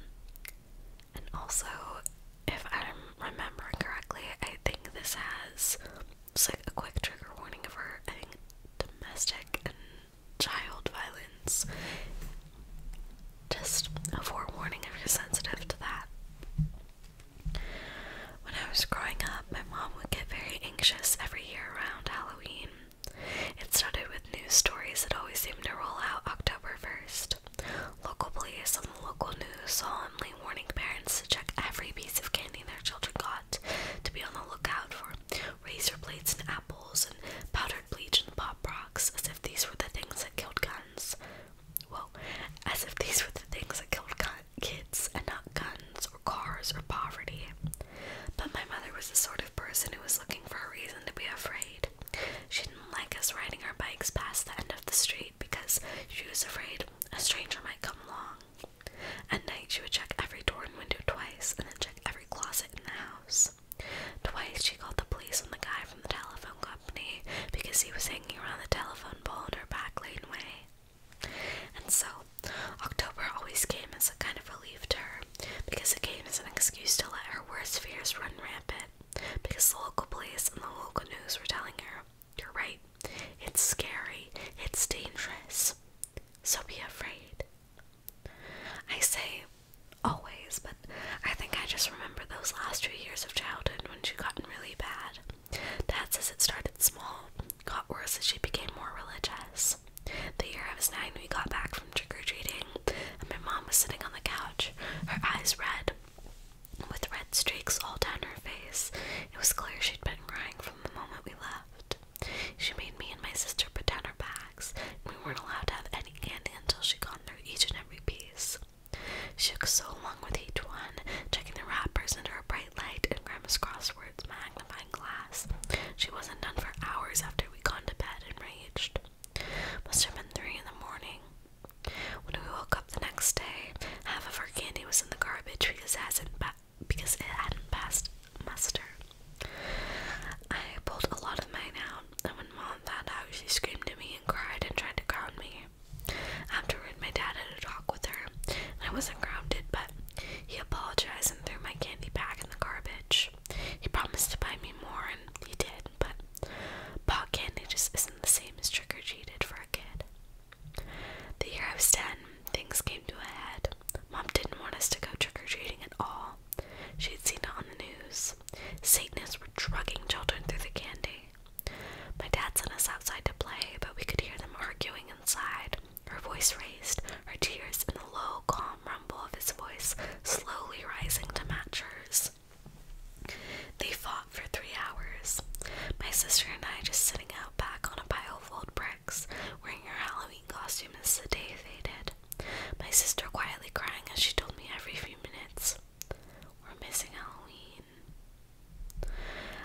and also, if I'm remembering correctly, I think this has like a quick trigger warning of her. domestic and child violence. Just a forewarning if you're sensitive to that. When I was growing up, my mom would get very anxious every year around Halloween. It started with news stories that always seemed to roll out October 1st. Local police on the local news solemnly warning parents to check every piece of candy their children got, to be on the lookout for razor blades and apples and powdered bleach and pop rocks, as if these were the things that killed guns. Well, as if these were the things that killed kids and not guns or cars or poverty. But my mother was the sort of person who was looking for a reason to be afraid. She didn't like us riding our bikes past the end of the street because she was afraid a stranger might come along. At night, she would check every door and window twice and then check every closet in the house. Twice, she called the police on the guy from the telephone company because he was hanging around the telephone pole in her back laneway. And so, October always came as a kind of relief to her because it came as an excuse to let her worst fears run rampant because the local police and the local news were telling her, You're right, it's scary, it's dangerous, so be afraid. I say always, but I think I just remember those last two years of childhood when she got really bad. Dad says it started small, got worse as she became more religious. The year I was nine, we got back from trick or treating, my mom was sitting on the couch, her eyes red, with red streaks all down her face. It was clear she'd been crying from the moment we left. She made me and my sister put down our bags, we weren't allowed to have any candy until she'd gone through each and every piece. She took so long with each one, checking the wrappers under a bright light and Grandma's crosswords magnifying glass. She wasn't done for hours after we'd gone to bed enraged. Must have been three in the morning. When we woke up the next day, half of our candy was in the garbage because it hadn't passed muster. I pulled a lot of mine out, and when mom found out, she screamed at me and cried and tried to ground me. Afterward, my dad had a talk with her, and I wasn't grounded, but he apologized and threw my candy back in the garbage. He promised to buy me more, and he did, but Pot candy just isn't the same as trick or treated for a kid. The year I was 10, things came to a head. Mom didn't want us to go trick or treating at all. She had seen it on the news. Satanists were drugging children through the candy. My dad sent us outside to play, but we could hear them arguing inside. Her voice raised, her tears and the low, calm rumble of his voice slowly rising to match hers. They fought for three hours. My sister and I just sitting out back on a pile of old bricks, wearing our Halloween costumes. as the day faded. My sister quietly crying as she told me every few minutes, We're missing Halloween.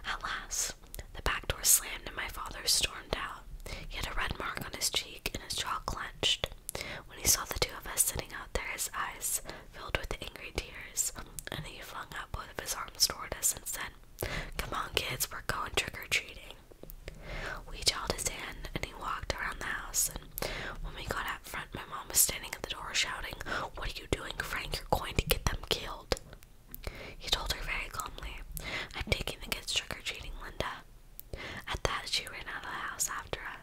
At last, the back door slammed and my father stormed out. He had a red mark on his cheek and his jaw clenched. When he saw the two of us sitting out there, his eyes filled with angry tears, and he flung out both of his arms toward us and said, Come on, kids, we're going trick or treating. We held his hand, and he walked around the house. And when we got out front, my mom was standing at the door shouting, What are you doing, Frank? You're going to get them killed. He told her very calmly, I'm taking the kids trick or treating, Linda. At that, she ran out of the house after us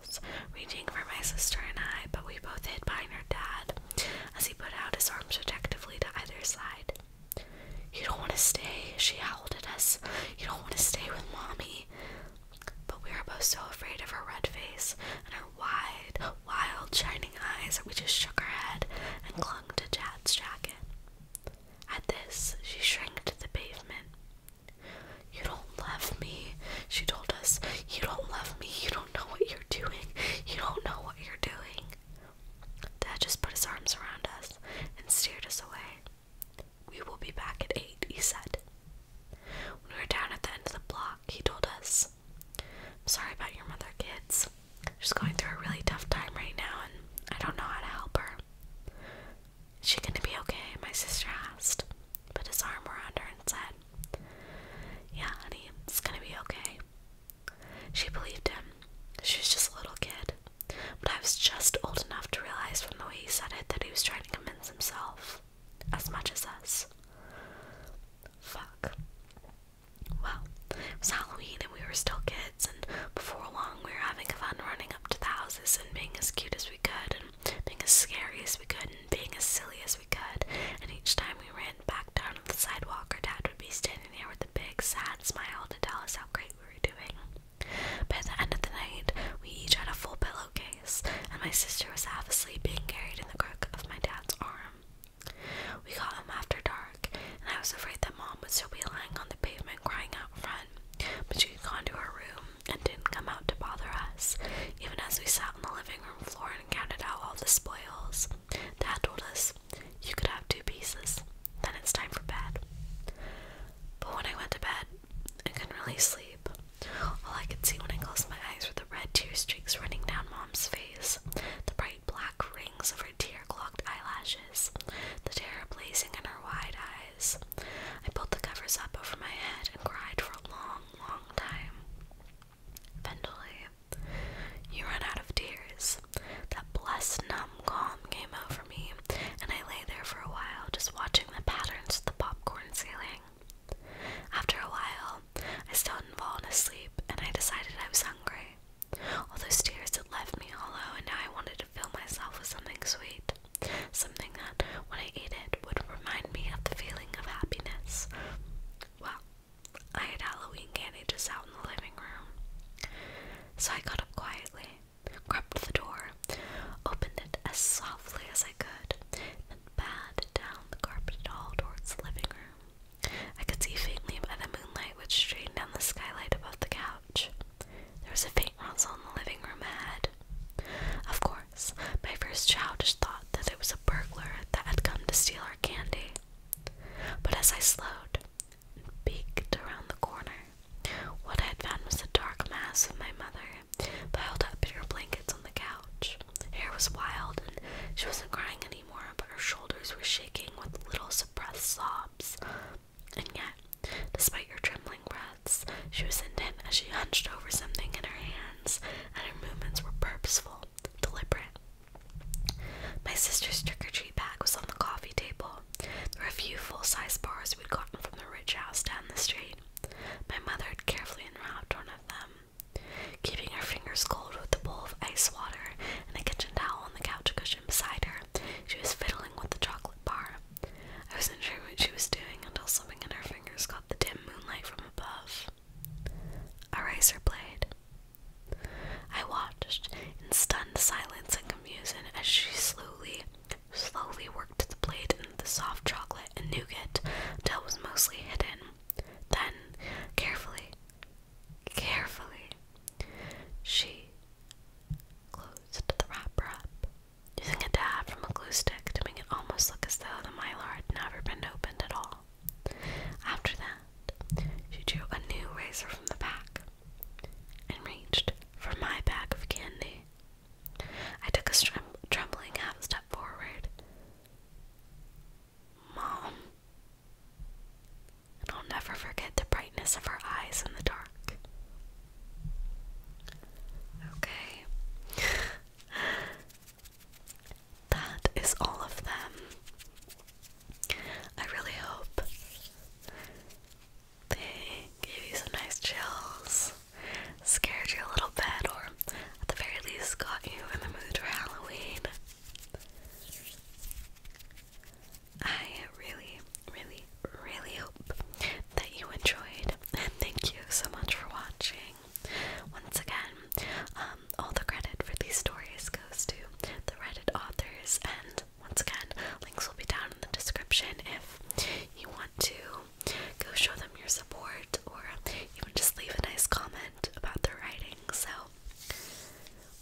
reaching for my sister and I, but we both hid behind her dad as he put out his arms protectively to either side. You don't want to stay, she howled at us. You don't want to stay with mommy. But we were both so afraid of her red face and her wide, wild, shining eyes that we just shook our head and clung to Dad's jacket. At this, she shrank to the pavement. You don't love me, she told us. You don't love me. You don't know what you're doing. You don't know what you're doing. Dad just put his arms around us and steered us away. We will be back at 8, he said. When we were down at the end of the block, he told us, I'm sorry about your mother, kids. She's going through a really tough time right now, and I don't know how to help her. Is she gonna be okay? My sister asked. Put his arm around her and said, yeah, honey, it's gonna be okay. She believed him. She was just a little kid. But I was just old enough to realize from the way he said it that he was trying to convince himself as much as us. Fuck. Well, it was Halloween and we were still kids, and before long we were having fun running up to the houses and being as cute as we could, being as scary as we could and being as silly as we could. And each time we ran back down on the sidewalk, our dad would be standing there with a big, sad smile to tell us how great we were doing. By the end of the night, we each had a full pillowcase, and my sister was half asleep being carried in the crook of my dad's arm. We got home after dark, and I was afraid that mom would still be lying on the pavement crying out front, but she had gone to her room and didn't come out to bother us, even as we sat on the living room floor and counted out all the spoils. Dad told us, You could have two pieces, then it's time for bed. But when I went to bed, I couldn't really sleep. All I could see when I closed my eyes were the red tear streaks running down Mom's face, the bright black rings of her tear clogged eyelashes, the terror blazing in her wide eyes. I pulled the covers up over my head and cried for a long, long time. Eventually, you run out of tears. That blessed numb calm came over me, and I lay there for a while, just watching the patterns of the popcorn ceiling. After a while, I still hadn't fallen asleep, and I decided I was hungry. All those tears had left me hollow, and now I wanted to fill myself with something sweet, something that, when I ate it, would remind me of the feeling of happiness. Well, I had Halloween candy just out in the living room. So I got up quietly, crept to the door, opened it as softly as I could, and bad down the carpeted hall towards the living room. I could see faintly by the moonlight which streamed down the skylight above the couch. There was a faint rustle in the living room ahead, of course, my first childish thought that it was a burglar that had come to steal our candy. But as I slowed and peeked around the corner, what I had found was the dark mass of my mother, piled up in her blankets on the couch. Hair was wild, and she wasn't crying anymore, but her shoulders were shaking with little suppressed sobs. And yet, despite her trembling breaths, she was intent as she hunched over something in her hands and her movements were purposeful, deliberate. My sister's trick or treat bag was on the coffee table. There were a few full size bars we'd gotten from the rich house down the street. My mother had carefully unwrapped one of them. Keeping her fingers cold with a bowl of ice water and a kitchen towel on the couch cushion beside her, she was fiddling with the chocolate bar. I wasn't sure what she was doing until something in her fingers caught the dim moonlight from above. A razor blade. I watched in stunned silence and confusion as she slowly, slowly worked the blade into the soft chocolate and nougat till it was mostly hidden. Then, carefully, carefully, she closed the wrapper up, using a dab from a glue stick to make almost look as though the mylar had never been opened at all. After that, she drew a new razor from the pack and reached for my bag of candy. I took a trembling half step forward. Mom. And I'll never forget the brightness of her eyes in the dark. Okay. That is all of them. I really hope they gave you some nice chills, scared you a little bit, or at the very least got you in the mood for Halloween. I really, really, really hope that you enjoyed, and thank you so much for watching. Once again, um, all the credit for these stories goes to the Reddit authors, and once again, links will be down in the description if you want to go show them your support or even just leave a nice comment about their writing. So,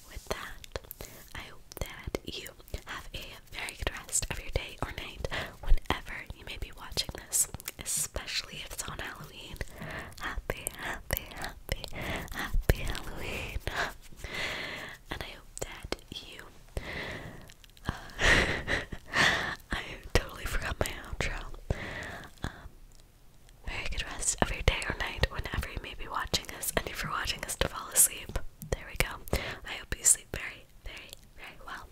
with that, I hope that you have a very good rest of your day or night whenever you may be watching this especially if it's on Halloween. Happy, happy, happy, happy Halloween. and I hope that you. Uh, *laughs* I totally forgot my outro. Um, very good rest of your day or night, whenever you may be watching us, and if watching us to fall asleep, there we go. I hope you sleep very, very, very well.